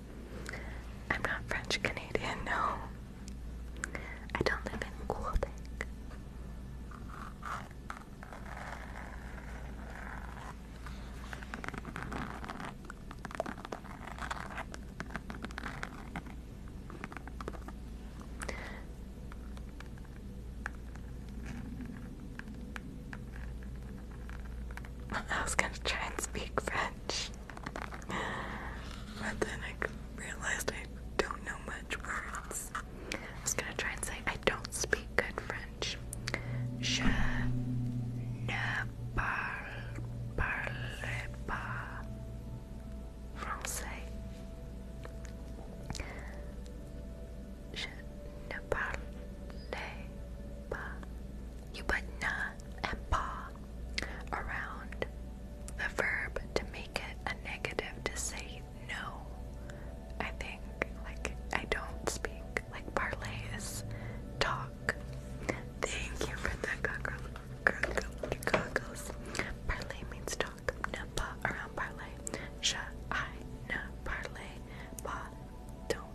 I'm not French Canadian, no. I don't live in Quebec. I was gonna try and speak French, but then I realized I don't know much words. I was gonna try and say I don't speak good French. Je ne parle, pas français. Je ne parle pas you put na and pa around the verb to make it a negative to say no. I think, like, I don't speak. Like, parlay is talk. Thank you for the goggles. goggles. Parlay means talk. Na pa around parlay. Sha na parlay. Pa don't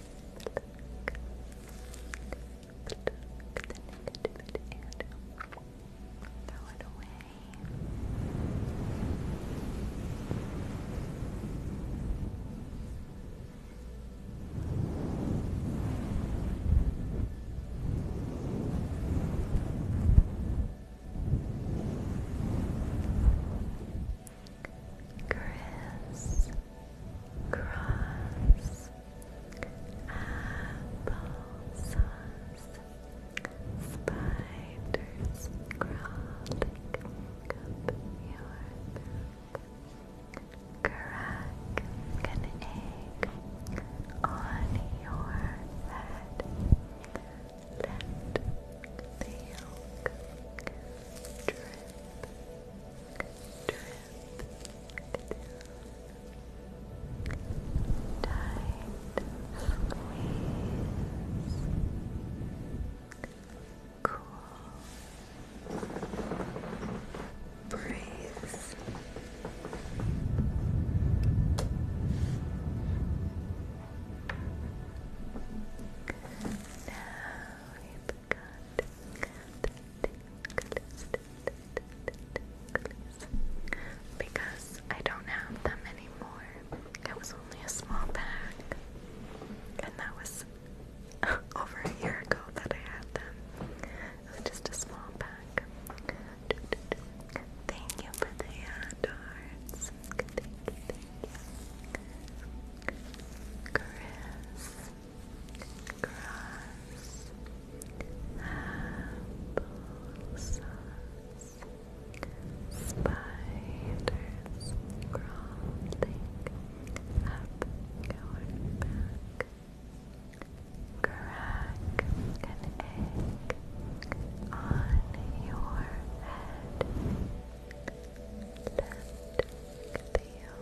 the negativity and throw it away. Chris, Cross, Spiders crawling up your back, crack an egg on your head, let the yolk Drip, Tight squeeze. Cool. Breeze. Now because I don't have them anymore. It was only a small pack, and that was over a year ago that I had them. just a small pack. Thank you for the hand Chris, grass, applesauce, spiders crawling up your back, crack an egg on your head, let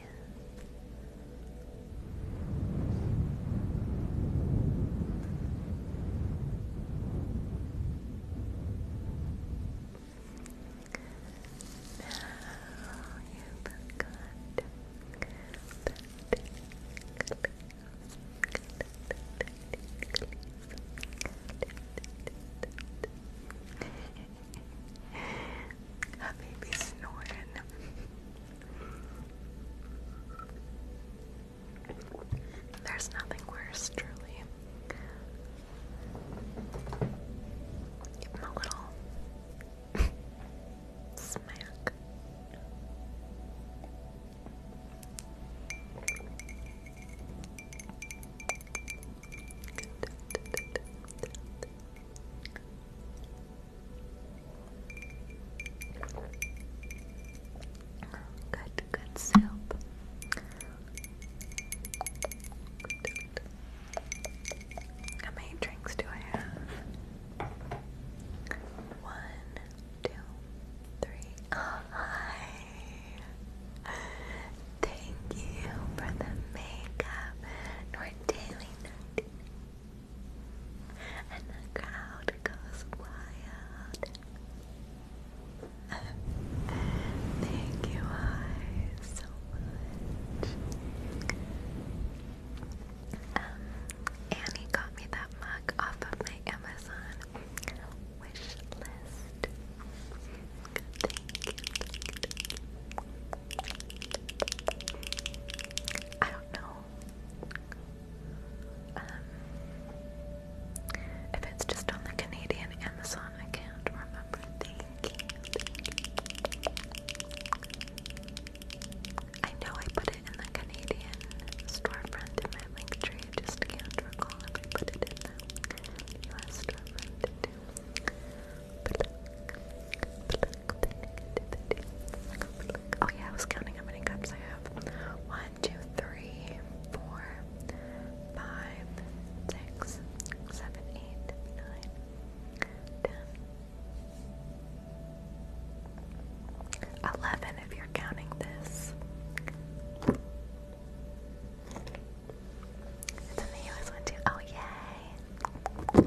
you forgot that That baby snoring. There's nothing worse, truly. Give him a little smack. Good, good soup. How many drinks do I have? One, two, three. Oh, hi. Thank you for the makeup. Nort daily, and the crowd goes wild. Thank you guys so much. Um, Annie got me that mug off of my Amazon wish list. I don't know um, if it's just on the Canadian Amazon, I can't remember I know I put it in the Canadian storefront in my link tree, I just can't recall Oh yeah, I was counting how many cups I have. One, two, three, four, five, six, seven, eight, nine, ten, eleven. If you're counting this, it's in the too. Oh yay!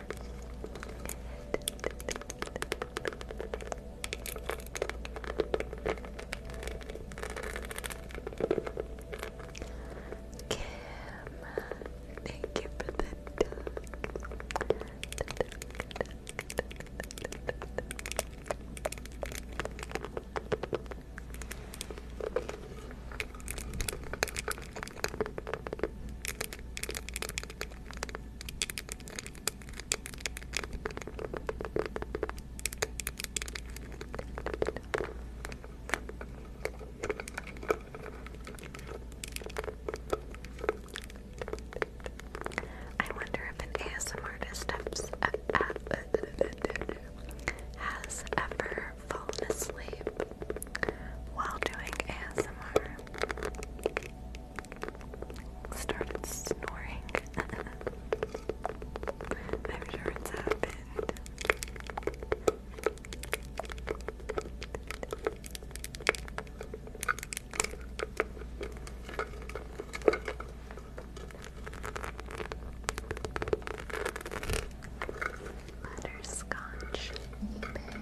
Kim, thank you for the I wonder if an ASM artist has ever fallen asleep while doing ASMR. Started snoring. I'm sure it's happened. Butterscotch bag.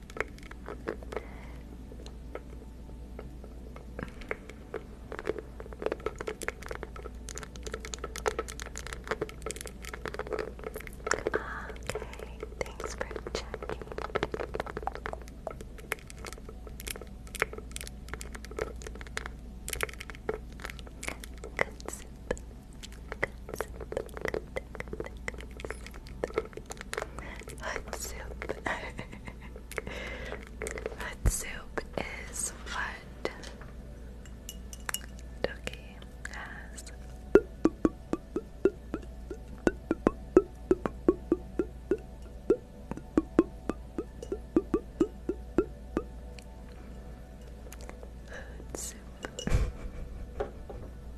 Okay, thanks for checking. Hot soup. Hot soup is what Dookie has. Hot soup.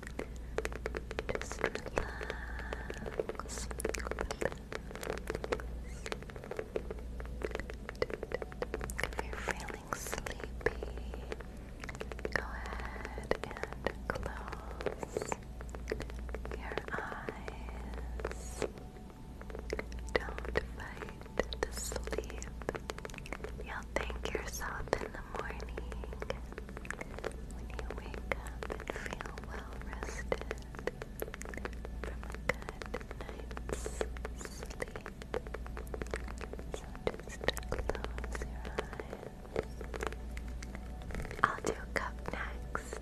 Just relax. If you're feeling sleepy, go ahead and close your eyes. Don't fight the sleep. You'll thank yourself in the morning. When you wake up and feel well rested from a good night's sleep, just close your eyes. I'll do cup cup next.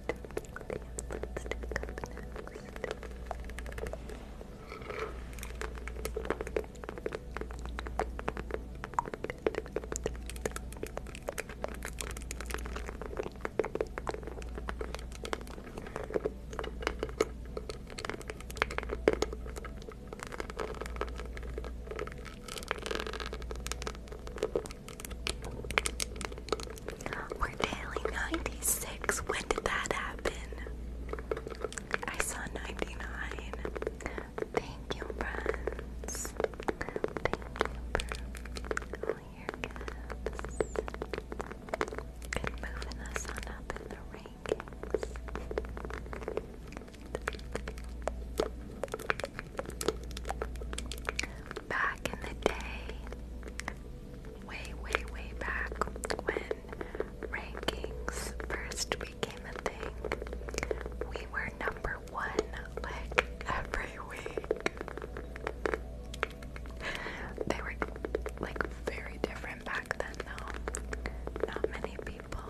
We're daily 96. When did that happen? I saw 99. Thank you, friends. Thank you for all your gifts and moving us on up in the rankings. Back in the day, way, way, way back when rankings first became a thing, we were number one like every week. They were like very different back then though. Not many people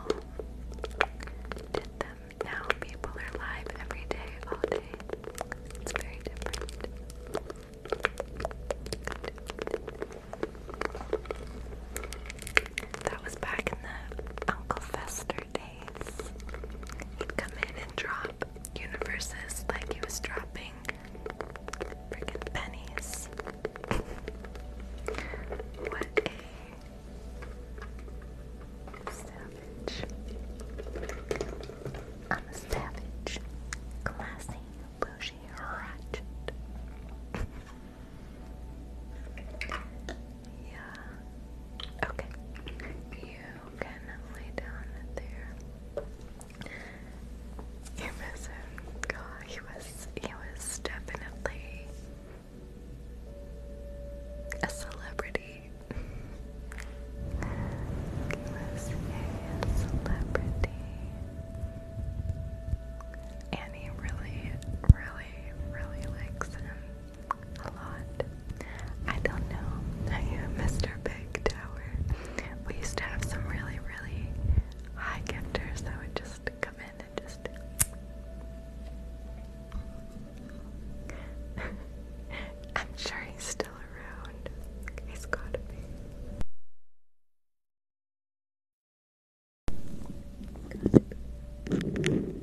did them. Now people are live every day, all day. It's very different. That was back in the Uncle Fester He'd come in and drop universes like he was dropping freaking pennies. what a savage. I'm a savage. Classy, bougie, ratchet. yeah. Okay. You can down there. You miss him. God, he was he was definitely a celebrity. he was a celebrity. And he really, really, really likes him a lot. I don't know. Mr. Big Tower. We used to have some really, really high gifters that would just come in and just. I'm sure he's still around. He's Gotta be.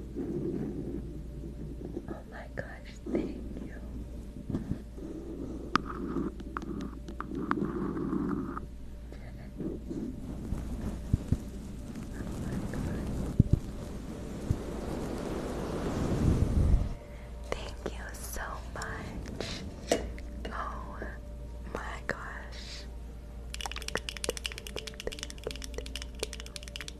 Oh my gosh, thank you. Thank you Oh my gosh. Thank you, thank you, thank you. I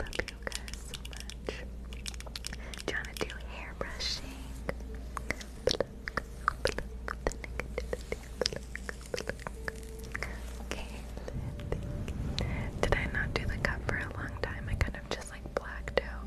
love you guys so much. Do to do hair brushing? Okay, did I not do the cup for a long time? I kind of just like blacked out.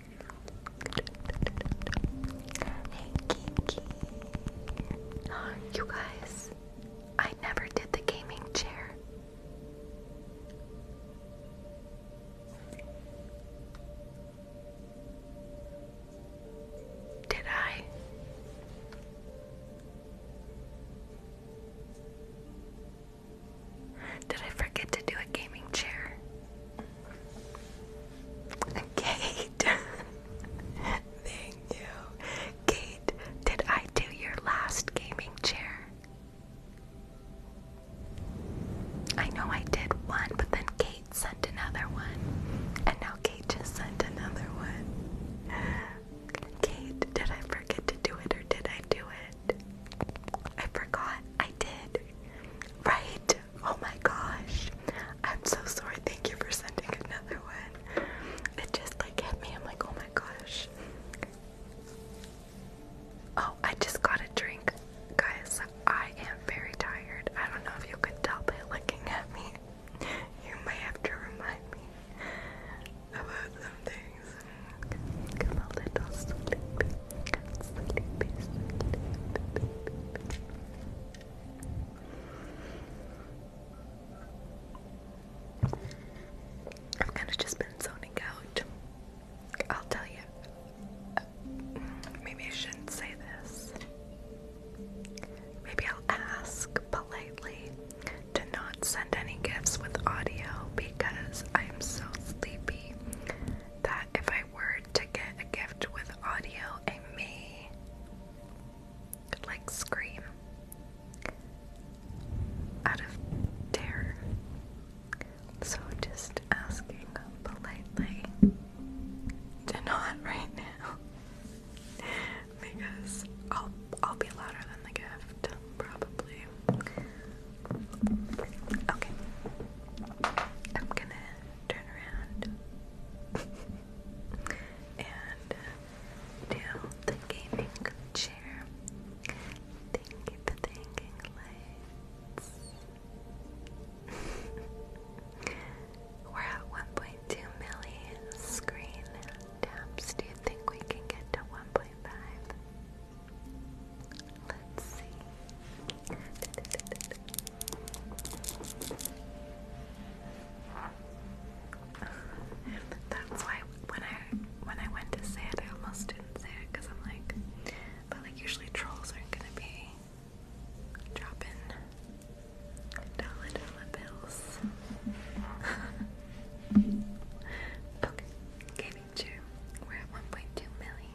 you guys, I never did the gaming chair. Did I? Did I forget to do a gaming chair? Kate, thank you. Kate, did I do your last gaming chair? I know I did one, but then Kate sent another one. And now Kate just sent another one. Kate, did I forget to do it or did I do it? I forgot. I did. Right? Oh my gosh. I'm so sorry. Thank you for sending another one. It just like hit me. I'm like, oh my gosh. Oh, I just got a drink. Guys, I am very tired. I don't know if you could tell by looking at me. You may have to remind me about some things. a little sleepy. I've kind of just been zoning out. I'll tell you. maybe I shouldn't say this. Maybe I'll ask politely to not send any gifts with audio because I'm so sleepy that if I word to get a gift with audio, I may like scream out of terror. So just asking politely to not right now because I'll I'll be louder than the gift probably. Okay. I'm gonna turn around and uh, down the gaming chair. Thank you for lights. We're at 1.2 million screen taps. Do you think we can get to 1.5? Let's see. That's why when I when I went to say it, I almost didn't say it because I'm like, but like usually trolls aren't gonna be dropping dollar bills. okay, gaming chair. We're at 1.2 million.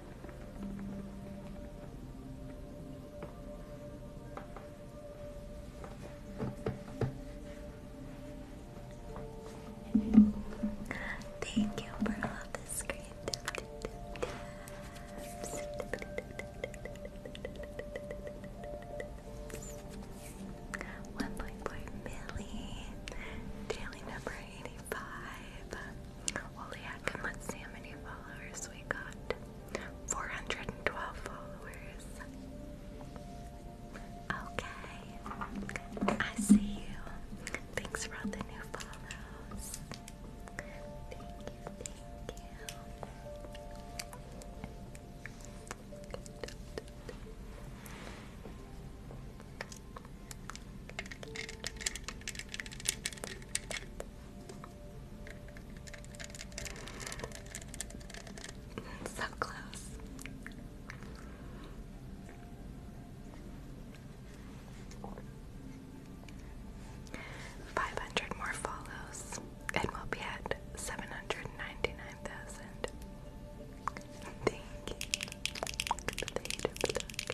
Thank you for all the screen One point four million, daily number eighty-five. Woliak, and let's see how many followers we got. 412 followers. Okay. I see you. Thanks for all the new follows. Thank you, thank you. So close. Five hundred more follows, and we'll be at seven hundred ninety nine thousand. Thank you.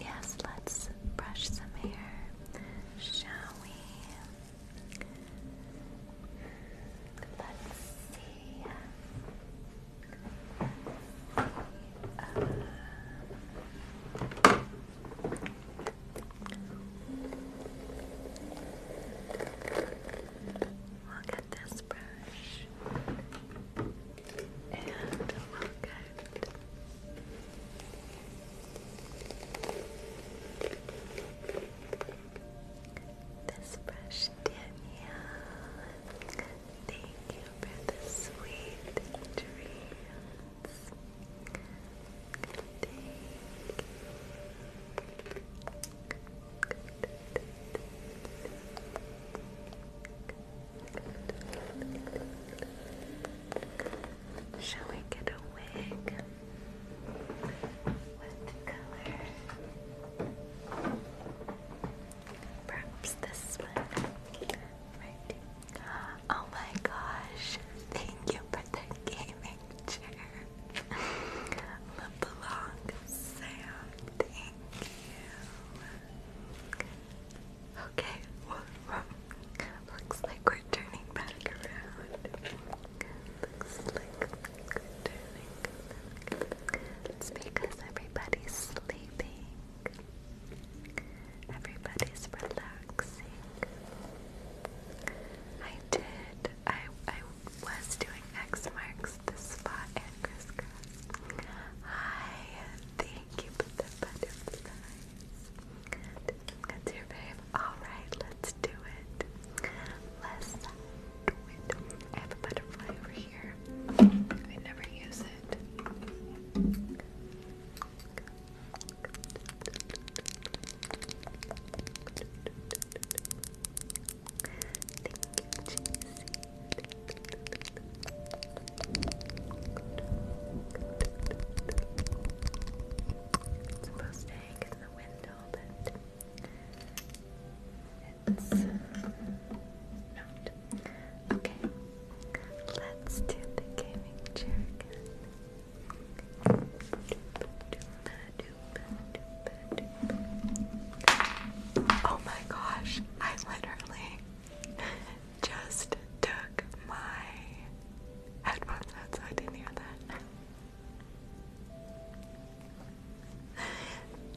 yes, let's brush some hair, shall we? Let's see. Uh, we this brush and we this brush, Danielle. Thank you for the sweet dreams. Shall we get a wig? What color? Perhaps this one. Oh my gosh. Thank you for the gaming chair. LeBlanc Sam. Thank you. Okay, looks like we're turning back around. Looks like turning because everybody's sleeping. Everybody's relaxing. I did. I I was doing X marks the spot and crisscross. Hi, thank you for the butterfly. That's your fave. Alright, let's do it. Let's do it. I have a butterfly over here. I never use it. Thank you, it's supposed to hang in the window, but it's not. Okay, let's do the gaming chair again. Oh my gosh, I literally just took my headphones out, didn't hear that.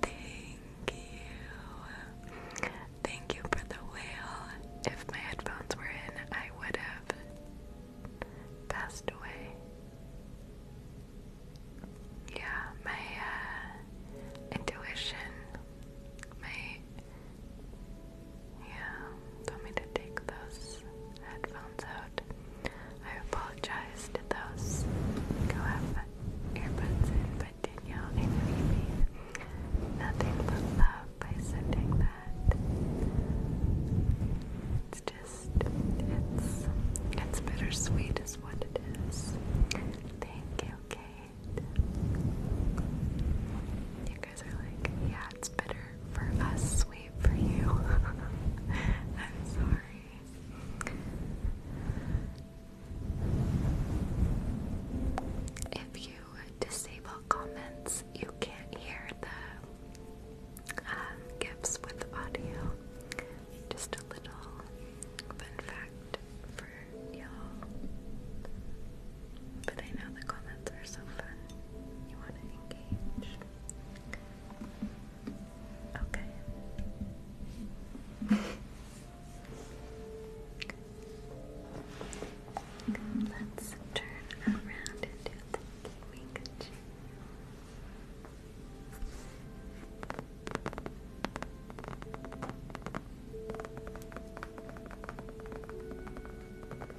Thank you. Thank you for the whale. If my headphones were in, I would have passed away. Yeah, my uh, intuition, my yeah, told me to take those headphones out. I apologize to those who earbuds but Danielle, I know nothing but love by sending that. It's just, it's, it's bittersweet is what it is. Thank you, Kate. You yeah, it's bitter for us, sweet for you. I'm sorry. If you disable comments, you can't hear the um, gifts with audio. Just a little fun fact for you But I know the comments Comments are so fun. Let's turn around into the gaming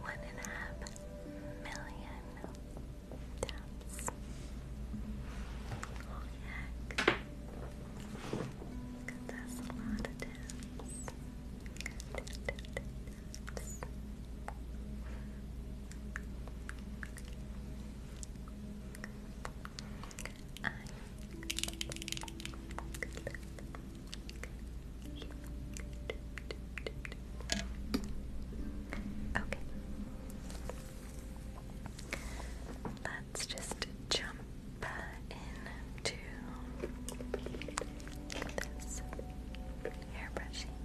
one and a half million taps. Oh heck. That's a lot of taps. Okay. Let's just jump into this hairbrushing.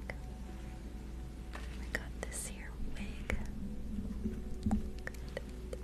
I got this here wig.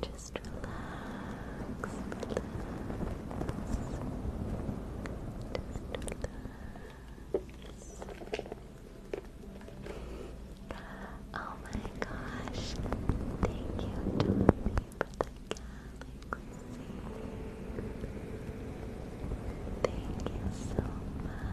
Just relax, relax. Just relax. Oh my gosh. Thank you, Tommy, for the galaxy. Thank you so much.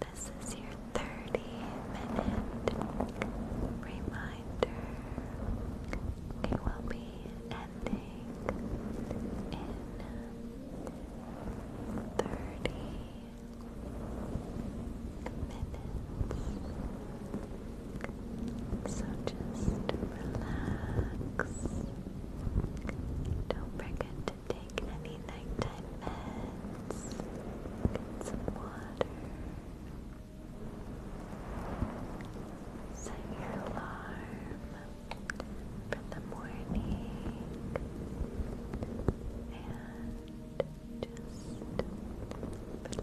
This is your 30 minute reminder. We will be ending in thirty minutes. just relax. Don't forget to take any nighttime meds. Get some water. Set your alarm for the morning and just relax.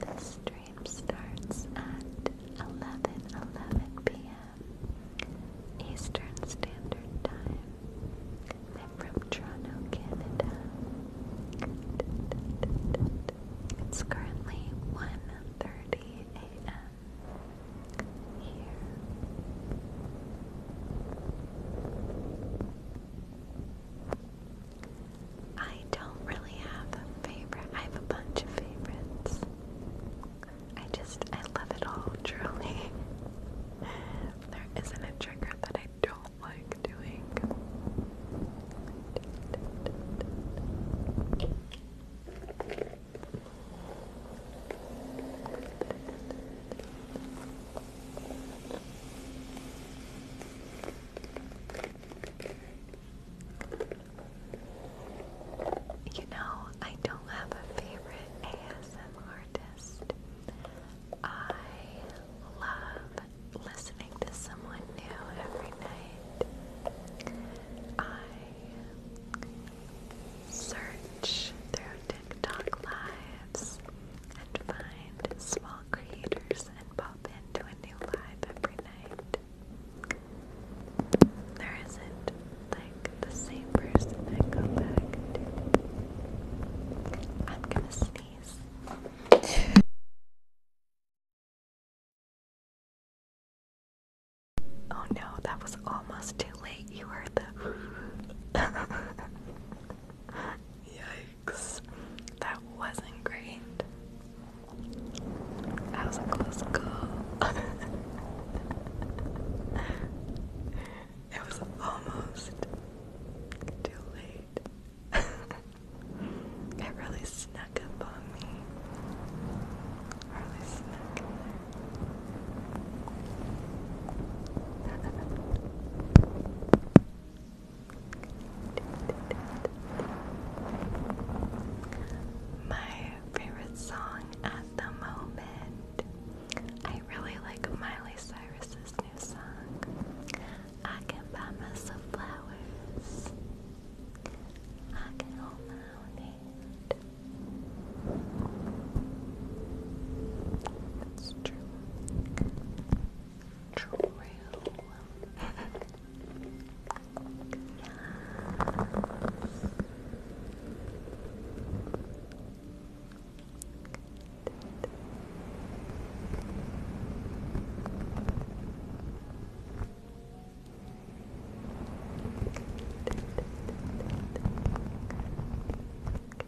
The stream starts at eleven eleven p.m. Eastern Standard Time. I'm from Toronto, Canada. It's currently 1.30 a.m. here. I don't really have a favorite. I have a bunch of favorites. I just, I love it all, truly. There isn't a trigger that I don't like doing. You know, I don't have a favorite ASM artist. I love listening to someone new every night. I search through TikTok lives and find small creators and pop into a new live every night. There isn't like the same person I go back to. I'm gonna sneeze. Oh no, that was almost too late. You heard the. Yikes. That wasn't great. That was a close call. it was almost too late. it really snuck up on me. Really snuck My favorite song the moment. I really like Miley Cyrus's new song. I can buy myself flowers. I can hold my own hand. That's true. True.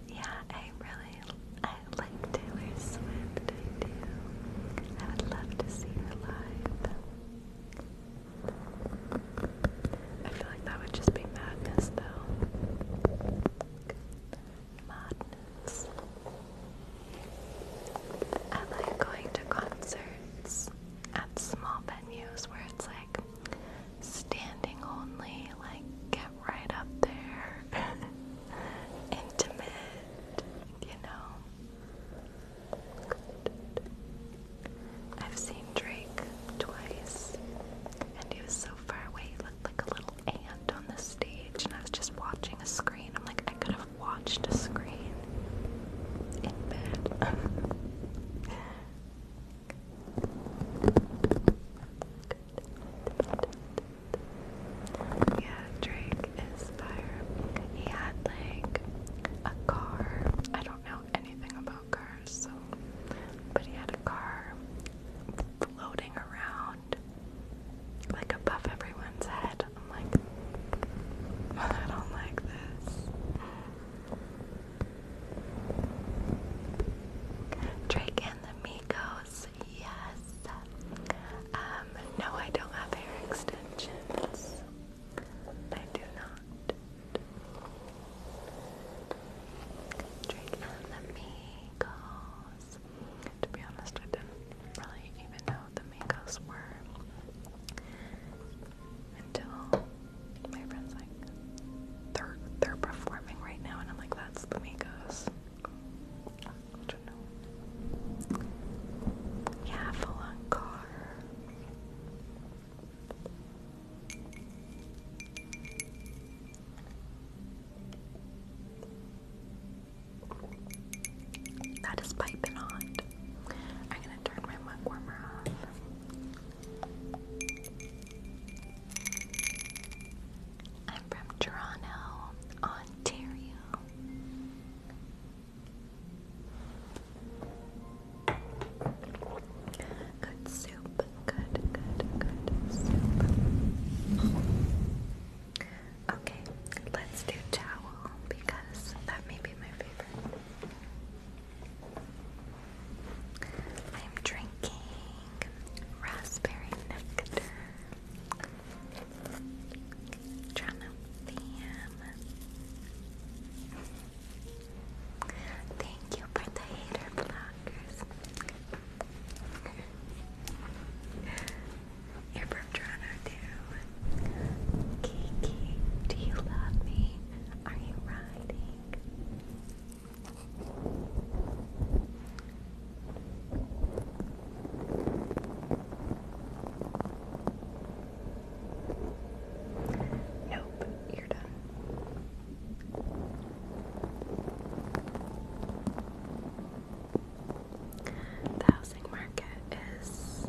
Yeah, I really I like Taylor Swift. I do. I would love to see her live. I feel like that would just be madness, though. Madness. I like going to concerts at small venues where it's like standing only, like get right up there. Intimate, you know. I've seen Drake twice, and he was so far away. He looked like a little ant on the stage, and I was just watching a screen. I'm like, I could have watched a screen in bed. yeah, Drake is fire. He had like a car. I don't know anything about cars so but he had a car floating around like above everyone's head. I'm like I don't like this. Drake and the Migos, yes. Um, no, I don't have hair extensions. I do not. Drake and the Migos. To be honest, I didn't really even know the Migos were until my friend's like, they're, they're performing right now, and I'm like, that's the Migos. Yeah, full that is piping hot. I'm gonna turn my mug warmer off. I'm from Toronto, Ontario. Good soup. Good, good, good soup. Okay, let's do towel because that may be my favorite. I'm drinking raspberry nectar. Trying to Thank you for the hater blockers. You're from Toronto too. Kiki, do you love me? Are you riding? Nope, you're done. The housing market is.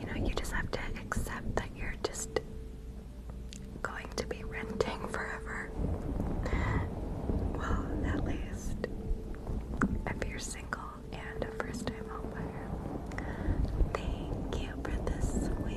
You know, you just have to accept that you're just going to be renting forever. Well, at least if you're single and a first time Thank you for this week.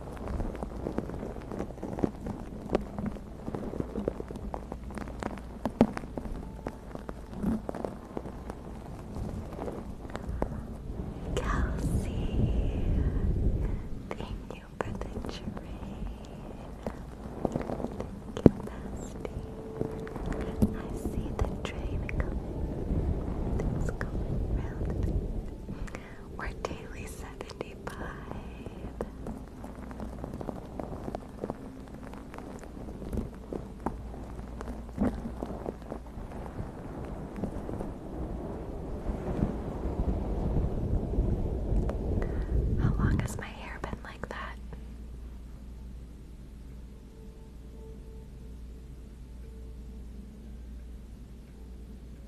Kelsey, thank you for the train. Thank you, bestie. I see the train coming. Things going round. We're daily 75. How long has my hair been like that?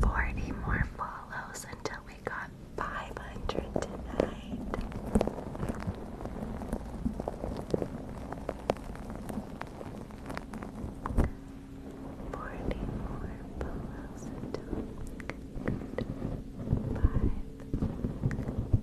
Forty more follows until we got five hundred tonight. Forty more follows until we got five hundred.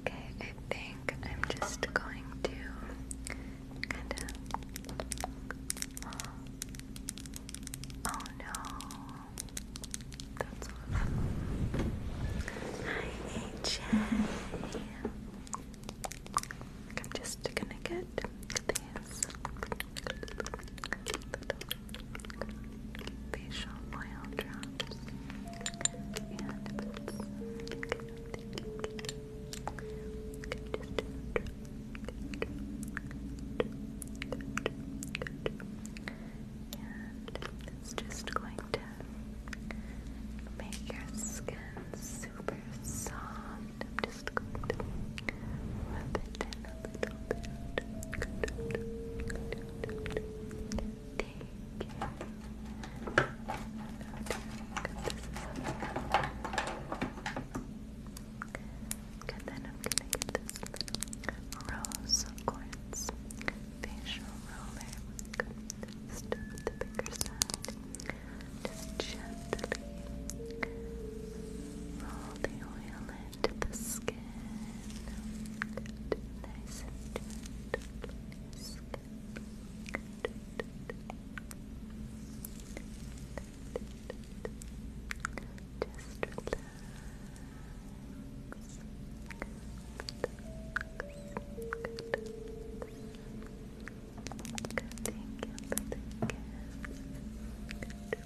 Okay, I think I'm just going to oh, oh no, that's awful. Hi, AJ. I'm just gonna get at these facial oil drops and it's just going to make your skin super soft and I'm just going to rub it in a little bit. Take care. Okay, then I'm gonna get this rose quartz facial roller. Just the bigger side. Just gently roll the oil in to the skin. Good. Nice skin. Just relax. Good. Thank you the gift.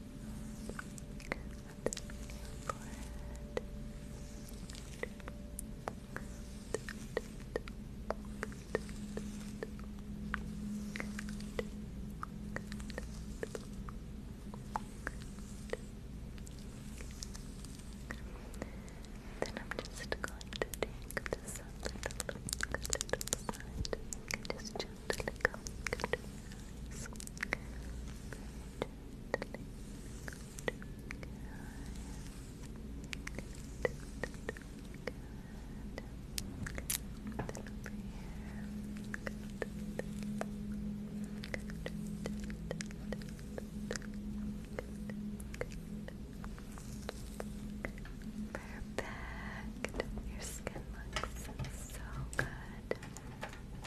then I'm just going to take this up a a little side. Just gently Perfect. Your skin looks so good.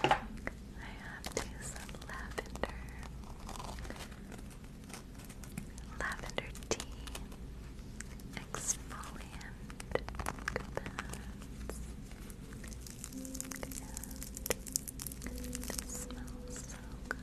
I have these lavender lavender tea exfoliant it smells so good.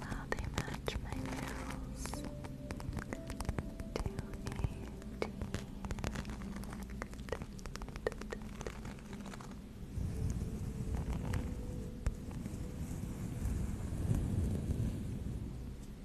Wow, they match my nails to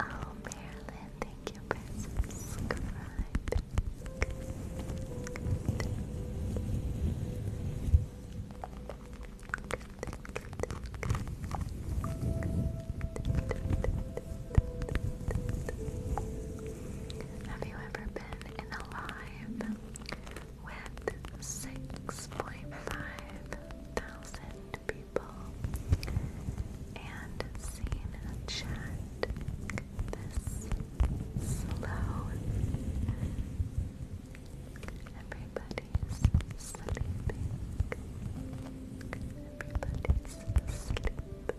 Oh, Marilyn, thank you for have you ever been in a live with 6.5 thousand people and seen a chat this slow? Everybody's sleeping. Everybody's asleep.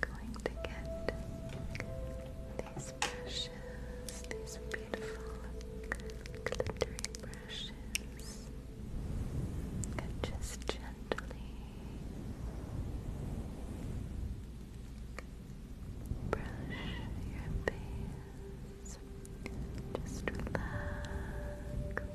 going to get these brushes, these beautiful glittery brushes, and just gently brush your face. Just relax. Just relax.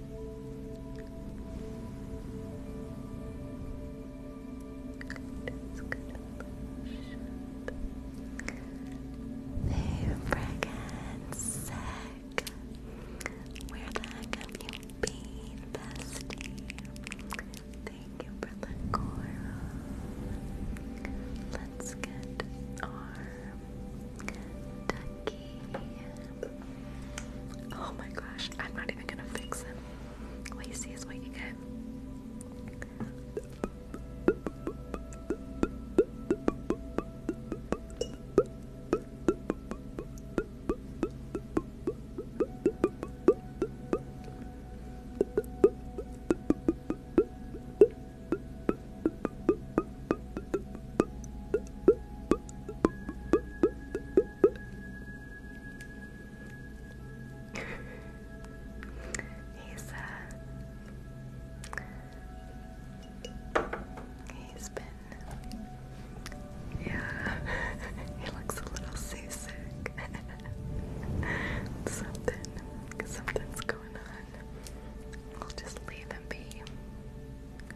There, fragrance sack. Where the heck have you been, bestie? Thank you for the coral. Let's get our ducky. Oh my gosh, I'm not even gonna fix him. What is what you get he's uh he's been yeah he looks a little seasick something something's going on we'll just leave him be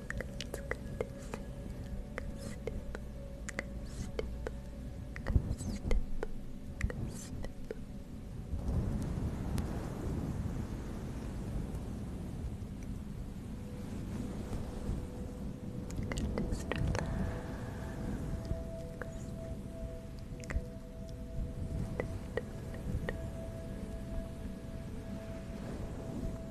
It's good to see you. Step, step, step, step. Good, just relax. Good. Good.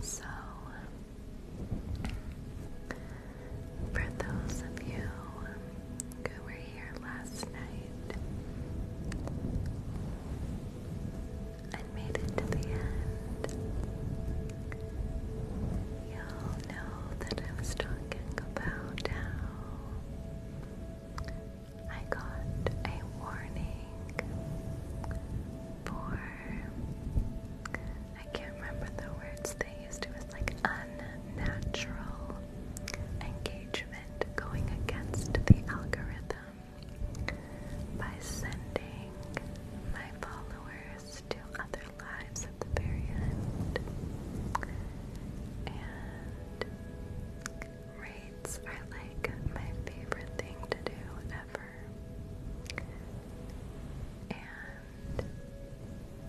So, for those of you who were here last night and made it to the end, you'll know that I was talking about how I got a warning for I can't remember the words they used. It was like unnatural engagement going against the algorithm by sending my followers to other lives at the very end. Raids are like my favorite thing to do ever. And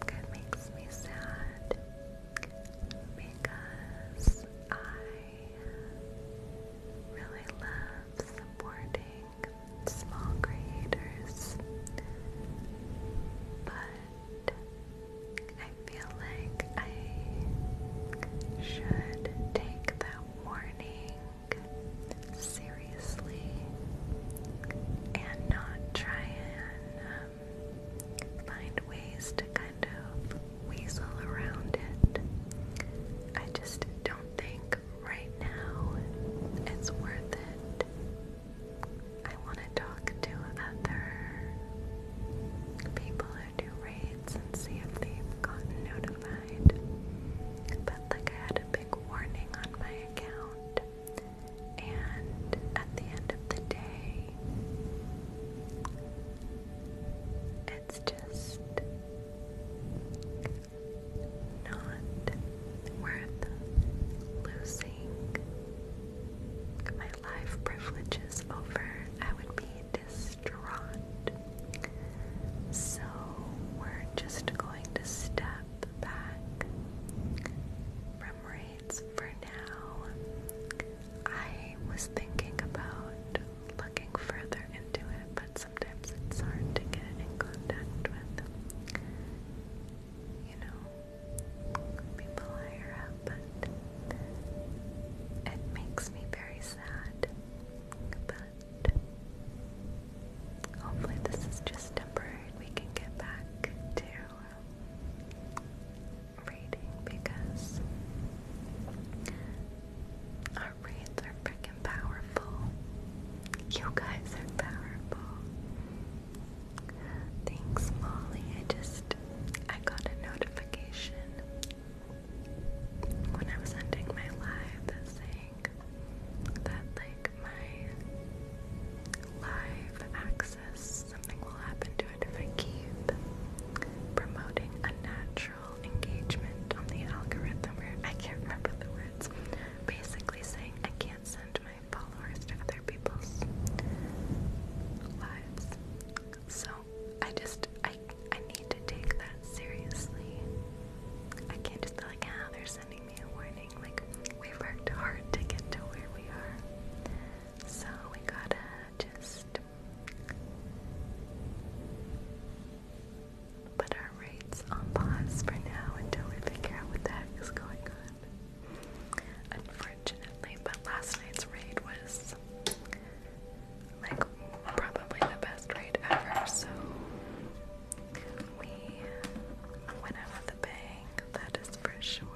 it makes me sad because I really love supporting small creators. But I feel like I should take that warning seriously and not try and um, find ways to kind of weasel around it. I just don't think right now it's worth it. I want to talk to other people do raids and see if they've gotten notified. But like I had a big warning on my account, and at the end of the day, it's just not worth losing my life privileges over. I would be distraught. So we're just going to step back from raids for now. I was thinking about looking further into it, but sometimes it's hard to get in contact with, you know, people higher up, but it makes me very sad but hopefully this is just temporary. We can get back to um, reading because our reads are freaking powerful. You guys are powerful. Thanks, Molly. I just I got a notification when I was ending my live saying that like my live access something will happen to it if I keep promoting unnatural engagement on the algorithm I can't remember the words. Basically saying I can't send my followers to other people's lives. So I just I I need to take that seriously. I can't just be like, ah, they're sending me a warning. Like we've worked hard to get to where we are. So we gotta just put our rates on pause for now until we figure out what the heck is going on. Unfortunately, but last night's raid was like probably the best rate ever. So we went out with a bang. That is for sure.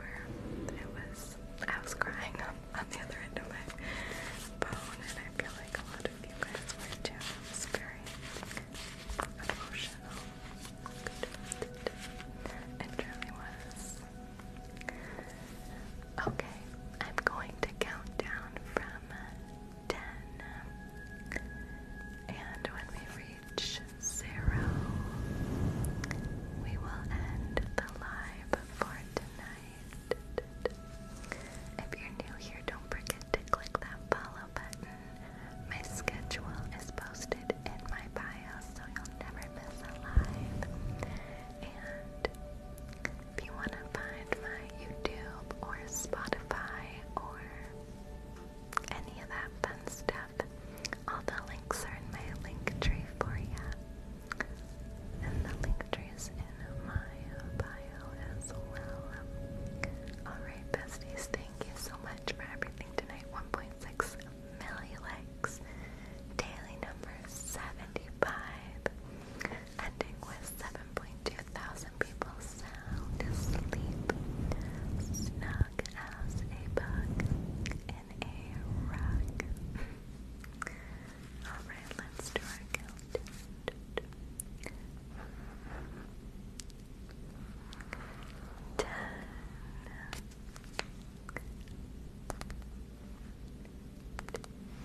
It was I was crying on, the other end of my phone, and I feel like a lot of you guys were too. It was very emotional. Good. It truly was. Okay, I'm going to count down from 10. And when we reach zero, we will end the live for tonight. If you're new here, don't forget to click that follow button. My schedule is posted in my bio, so you'll never miss a live. And if you want to find my YouTube or Spotify or any of that fun stuff, all the links are in my link tree for you. And the link tree is in my bio as well. Alright, besties, thank you so much for everything tonight. 1.6 million likes. Daily number 75 ending with 7.2 thousand people sound asleep, snug as a bug in a rug. Alright, let's do our count.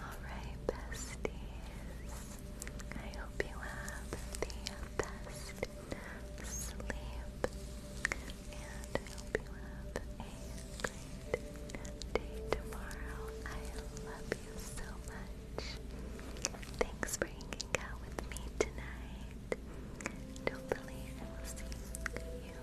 Alright, besties. I hope you have the best sleep. And I hope you have a great day tomorrow. I love you so much. Thanks for hanging out with me tonight. Hopefully, I will see you